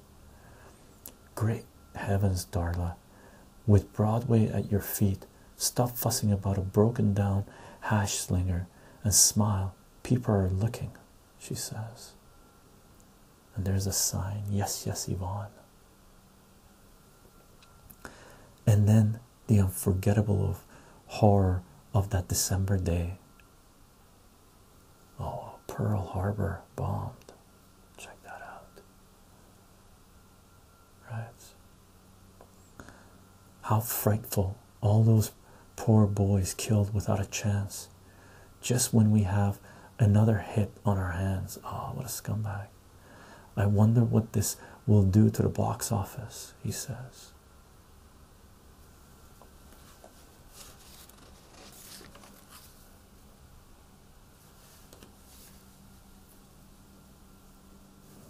Great heavens, Darla. With Broadway at your feet, stop fussing about a broken down hash slinger and smile. People are looking, she says. And there's a sign, yes, yes, Ivan. And then the unforgettable of horror of that December day. Oh, Pearl Harbor bombed. Check that out. Right. How frightful. All those poor boys killed without a chance. Just when we have another hit on our hands. Oh, what a scumbag. I wonder what this will do to the box office, he says.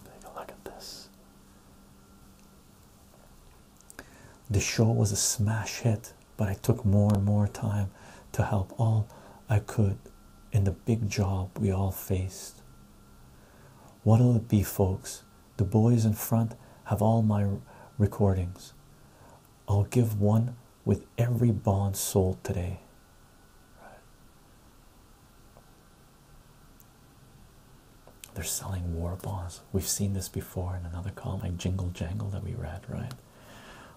Take a look at this. The show was a smash hit, but I took more and more time to help all I could in the big job we all faced. What'll it be, folks? The boys in front have all my recordings. I'll give one with every bond sold today. They're selling war bonds. We've seen this before in another column like Jingle Jangle that we read, right?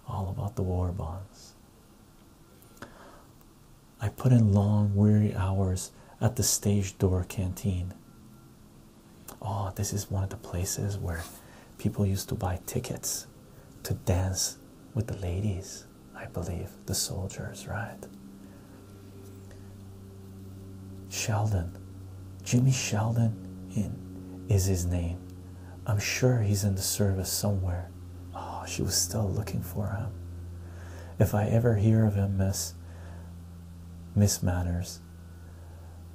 All about the war bonds. I put in long, weary hours at the stage door canteen. Oh, this is one of the places where people used to buy tickets to dance with the ladies, I believe, the soldiers, right? Sheldon, Jimmy Sheldon in, is his name. I'm sure he's in the service somewhere. Oh, she was still looking for him. If I ever hear of him, Miss Miss Manners,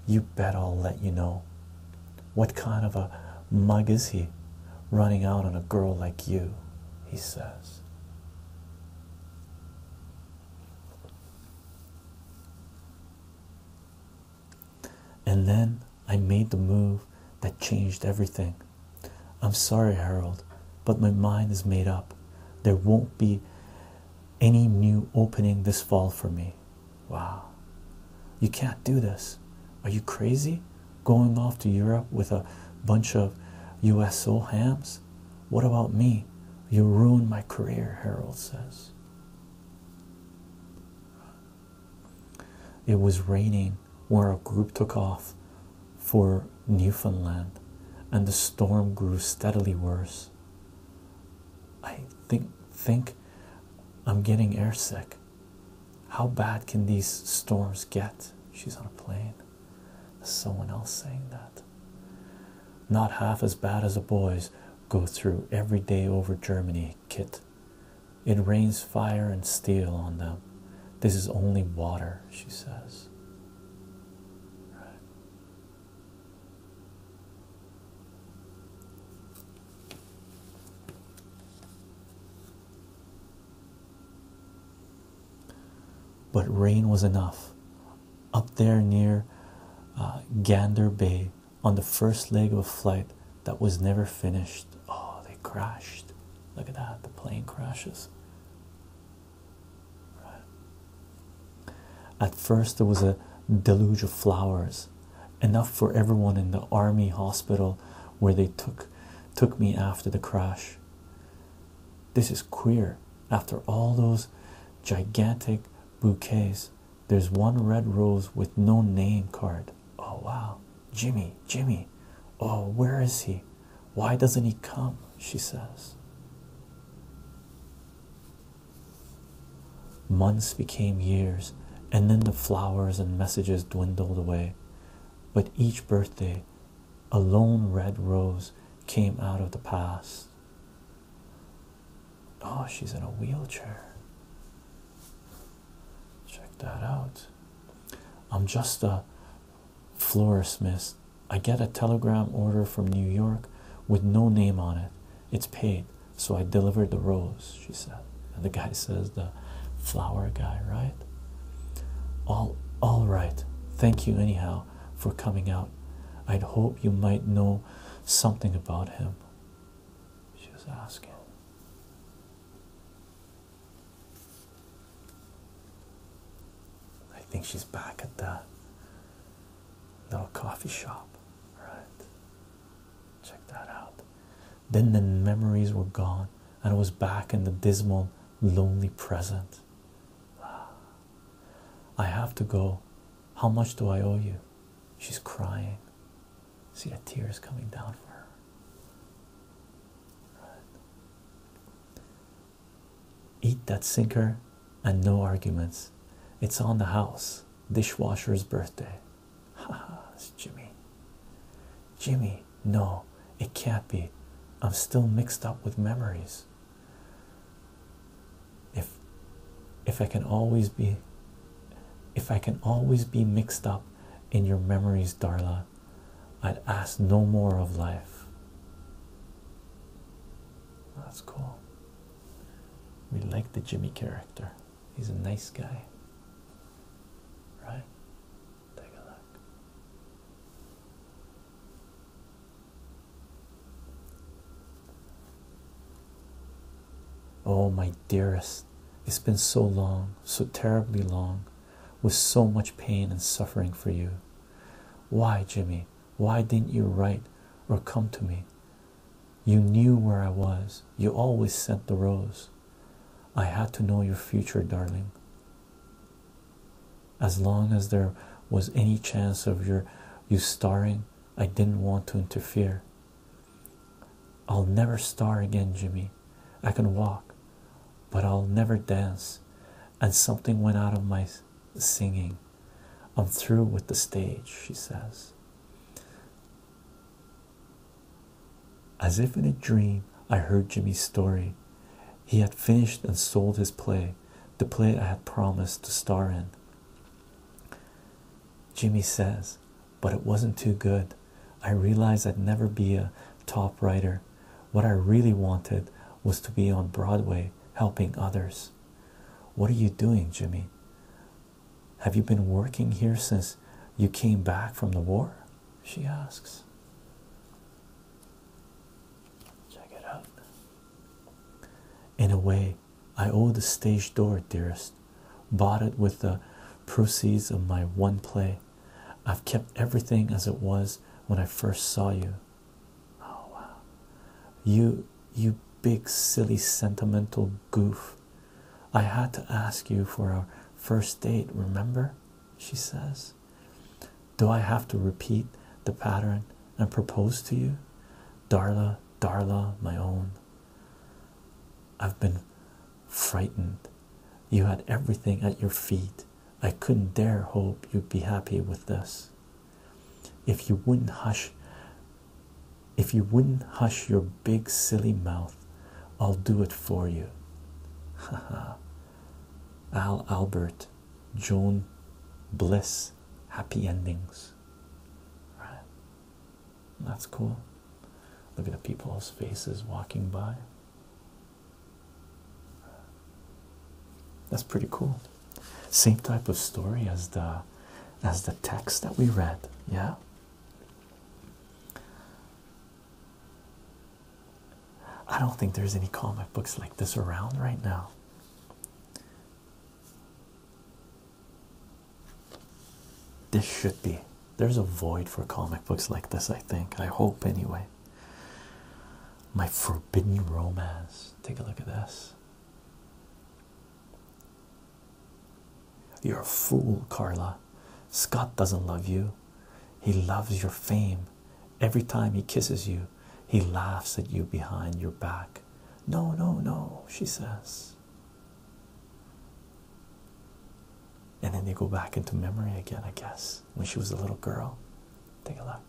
you bet I'll let you know. What kind of a mug is he running out on a girl like you? He says. And then I made the move that changed everything. I'm sorry, Harold, but my mind is made up. There won't be any new opening this fall for me. Wow. You can't do this. Are you crazy? Going off to Europe with a bunch of U.S. USO hams? What about me? You ruined my career, Harold says. It was raining where a group took off for Newfoundland and the storm grew steadily worse. I think think I'm getting airsick. How bad can these storms get? She's on a plane. There's someone else saying that. Not half as bad as the boys go through every day over Germany, Kit. It rains fire and steel on them. This is only water, she says. But rain was enough. Up there near uh, Gander Bay, on the first leg of a flight that was never finished, oh, they crashed. Look at that, the plane crashes. At first, there was a deluge of flowers, enough for everyone in the army hospital where they took took me after the crash. This is queer. After all those gigantic bouquets, there's one red rose with no name card. Oh wow, Jimmy, Jimmy. Oh, where is he? Why doesn't he come? She says. Months became years, and then the flowers and messages dwindled away. But each birthday, a lone red rose came out of the past. Oh, she's in a wheelchair. Check that out. I'm just a florist, miss. I get a telegram order from New York with no name on it. It's paid, so I delivered the rose, she said. And the guy says, The flower guy, right? All, all right. Thank you, anyhow, for coming out. I'd hope you might know something about him. She was asking. I think she's back at the little coffee shop. Right. Check that out. Then the memories were gone, and I was back in the dismal, lonely present. Ah. I have to go. How much do I owe you? She's crying. See the tears coming down for her. Right. Eat that sinker and no arguments. It's on the house. Dishwasher's birthday. Ha ha, it's Jimmy. Jimmy, no, it can't be. I'm still mixed up with memories. If if I can always be if I can always be mixed up in your memories, Darla, I'd ask no more of life. That's cool. We like the Jimmy character, he's a nice guy, right? Take a look. Oh, my dearest, it's been so long, so terribly long, with so much pain and suffering for you. Why, Jimmy? Why didn't you write or come to me? You knew where I was. You always sent the rose. I had to know your future, darling. As long as there was any chance of your you starring, I didn't want to interfere. I'll never star again, Jimmy. I can walk, but I'll never dance and something went out of my singing. I'm through with the stage, she says. As if in a dream, I heard Jimmy's story. He had finished and sold his play, the play I had promised to star in. Jimmy says, but it wasn't too good. I realized I'd never be a top writer what I really wanted was to be on Broadway helping others. What are you doing, Jimmy? Have you been working here since you came back from the war? She asks. Check it out. In a way, I owe the stage door, dearest. Bought it with the proceeds of my one play. I've kept everything as it was when I first saw you. Oh wow. You you big silly sentimental goof. I had to ask you for our first date, remember? She says. Do I have to repeat the pattern and propose to you? Darla, Darla, my own. I've been frightened. You had everything at your feet. I couldn't dare hope you'd be happy with this. If you wouldn't hush, if you wouldn't hush your big silly mouth, I'll do it for you. ha. Al Albert, Joan Bliss, happy endings. Right. That's cool. Look at the people's faces walking by. That's pretty cool. Same type of story as the as the text that we read, yeah. I don't think there's any comic books like this around right now. This should be. There's a void for comic books like this, I think. I hope, anyway. My Forbidden Romance. Take a look at this. You're a fool, Carla. Scott doesn't love you. He loves your fame. Every time he kisses you, he laughs at you behind your back. No, no, no, she says. And then they go back into memory again, I guess when she was a little girl. Take a look.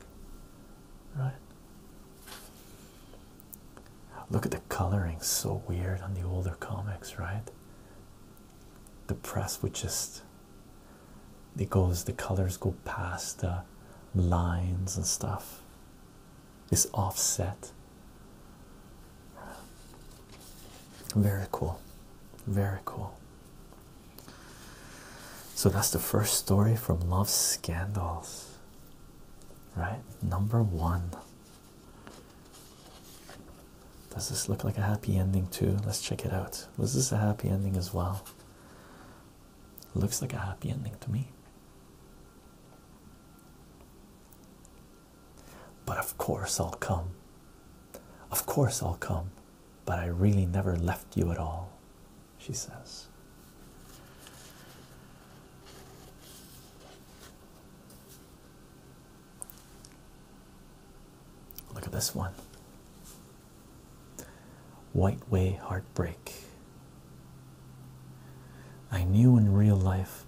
Right? Look at the coloring, so weird on the older comics, right? The press would just it goes the colors go past the lines and stuff. It's offset. Very cool. Very cool. So that's the first story from Love Scandals, right? Number one. Does this look like a happy ending too? Let's check it out. Was this a happy ending as well? Looks like a happy ending to me. But of course I'll come. Of course I'll come. But I really never left you at all she says. Look at this one. White Way Heartbreak. I knew in real life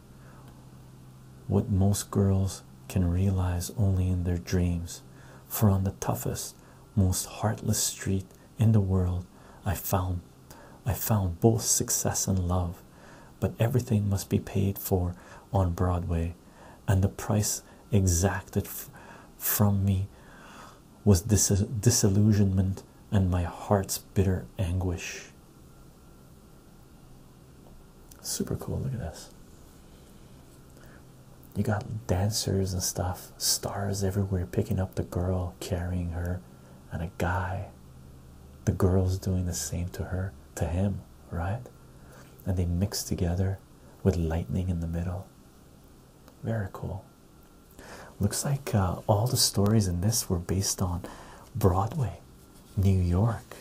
what most girls can realize only in their dreams, for on the toughest, most heartless street in the world i found i found both success and love but everything must be paid for on broadway and the price exacted from me was disillusionment and my heart's bitter anguish super cool look at this you got dancers and stuff, stars everywhere picking up the girl, carrying her, and a guy. The girl's doing the same to her, to him, right? And they mix together with lightning in the middle. Very cool. Looks like uh, all the stories in this were based on Broadway, New York,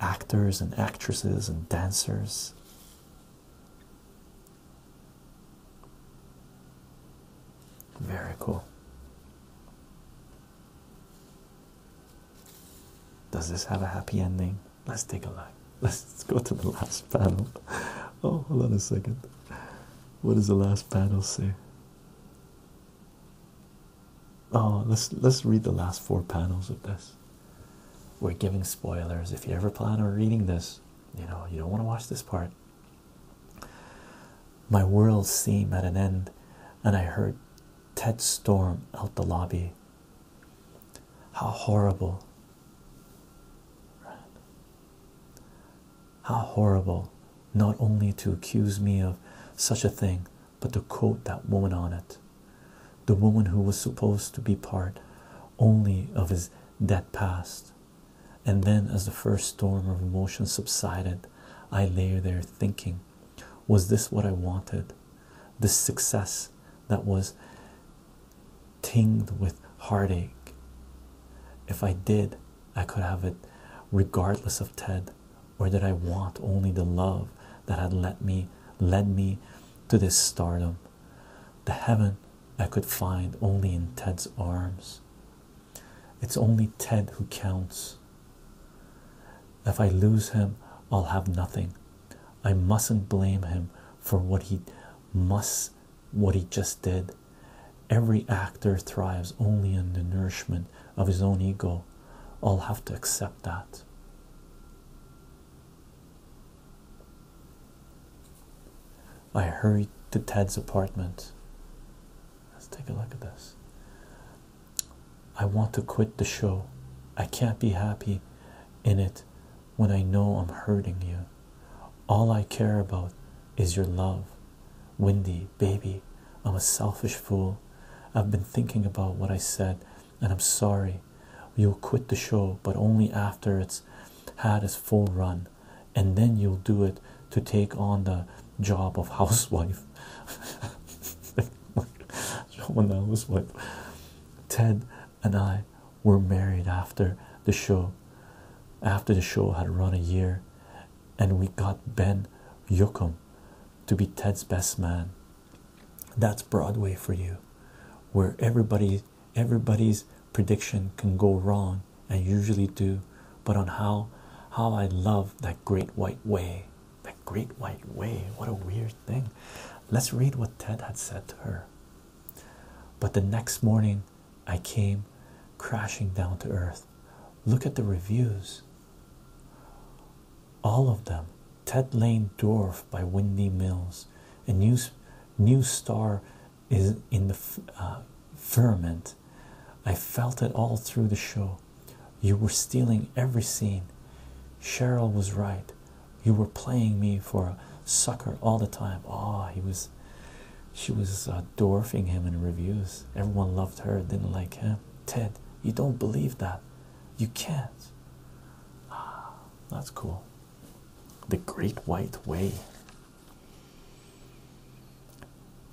actors and actresses and dancers. Very cool. Does this have a happy ending? Let's take a look. Let's go to the last panel. Oh, hold on a second. What does the last panel say? Oh, let's let's read the last four panels of this. We're giving spoilers. If you ever plan on reading this, you know you don't want to watch this part my world seemed at an end and i heard ted storm out the lobby how horrible how horrible not only to accuse me of such a thing but to quote that woman on it the woman who was supposed to be part only of his dead past and then, as the first storm of emotion subsided, I lay there thinking, was this what I wanted? This success that was tinged with heartache. If I did, I could have it regardless of Ted, or did I want only the love that had let me led me to this stardom? The heaven I could find only in Ted's arms. It's only Ted who counts. If I lose him, I'll have nothing. I mustn't blame him for what he must, what he just did. Every actor thrives only on the nourishment of his own ego. I'll have to accept that. I hurried to Ted's apartment. Let's take a look at this. I want to quit the show. I can't be happy in it when I know I'm hurting you. All I care about is your love. Windy, baby, I'm a selfish fool. I've been thinking about what I said and I'm sorry. We will quit the show, but only after it's had its full run and then you'll do it to take on the job of housewife. When I was Ted and I were married after the show, after the show had run a year, and we got Ben Yoakum to be Ted's best man. That's Broadway for you, where everybody everybody's prediction can go wrong and usually do but on how how i love that great white way that great white way what a weird thing let's read what ted had said to her but the next morning i came crashing down to earth look at the reviews all of them ted lane dwarfed by windy mills a news new star is in the uh, firmament. I felt it all through the show. You were stealing every scene. Cheryl was right. You were playing me for a sucker all the time. Ah, oh, he was. She was uh, dwarfing him in reviews. Everyone loved her, didn't like him. Ted, you don't believe that. You can't. Ah, that's cool. The Great White Way.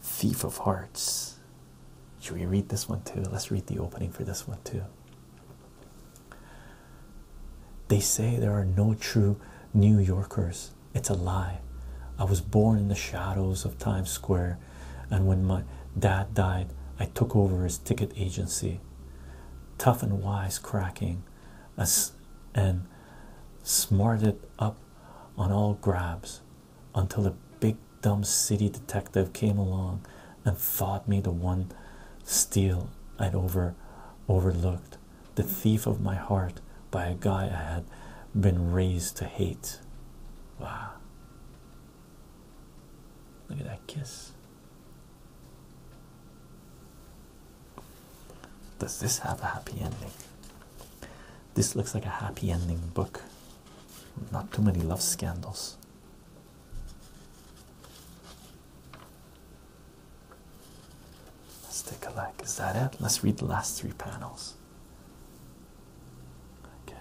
Thief of Hearts. Should we read this one too? Let's read the opening for this one too. They say there are no true New Yorkers. It's a lie. I was born in the shadows of Times Square, and when my dad died, I took over his ticket agency. Tough and wise cracking, and smarted up on all grabs until a big dumb city detective came along and thought me the one steal I'd over overlooked, the thief of my heart by a guy I had been raised to hate. Wow. Look at that kiss. Does this have a happy ending? This looks like a happy ending book. Not too many love scandals. Let's take a look. Is that it? Let's read the last three panels. Okay.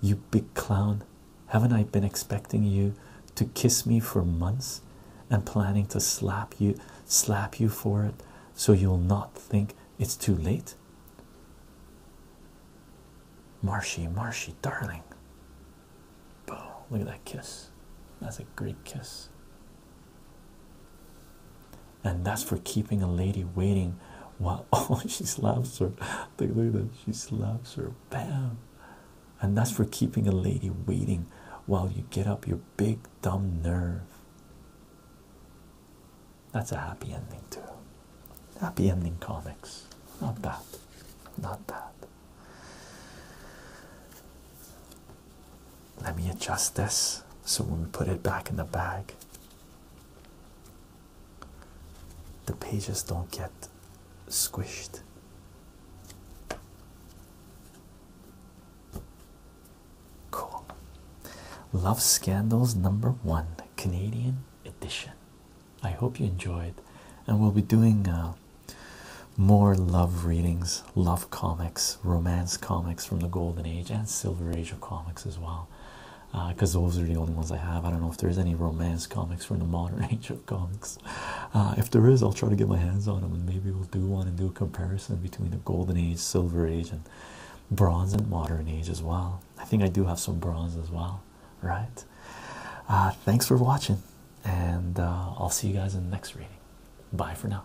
You big clown. Haven't I been expecting you to kiss me for months and planning to slap you slap you for it so you'll not think it's too late? Marshy, Marshy, darling. Boom. Look at that kiss. That's a great kiss. And that's for keeping a lady waiting while oh she slaps her. look at that. She slaps her. Bam and that's for keeping a lady waiting while you get up your big dumb nerve. That's a happy ending, too. Happy ending comics. Not that. Not that. Let me adjust this so when we put it back in the bag, the pages don't get squished. Cool. Love Scandals number one, Canadian edition. I hope you enjoyed, and we'll be doing uh, more love readings, love comics, romance comics from the Golden Age and Silver Age of comics as well. Because uh, those are the only ones I have. I don't know if there's any romance comics from the modern age of uh, if there is, I'll try to get my hands on them, and maybe we'll do one and do a comparison between the Golden Age, Silver Age, and Bronze and Modern Age as well. I think I do have some bronze as well, right? Uh, thanks for watching, and uh, I'll see you guys in the next reading. Bye for now.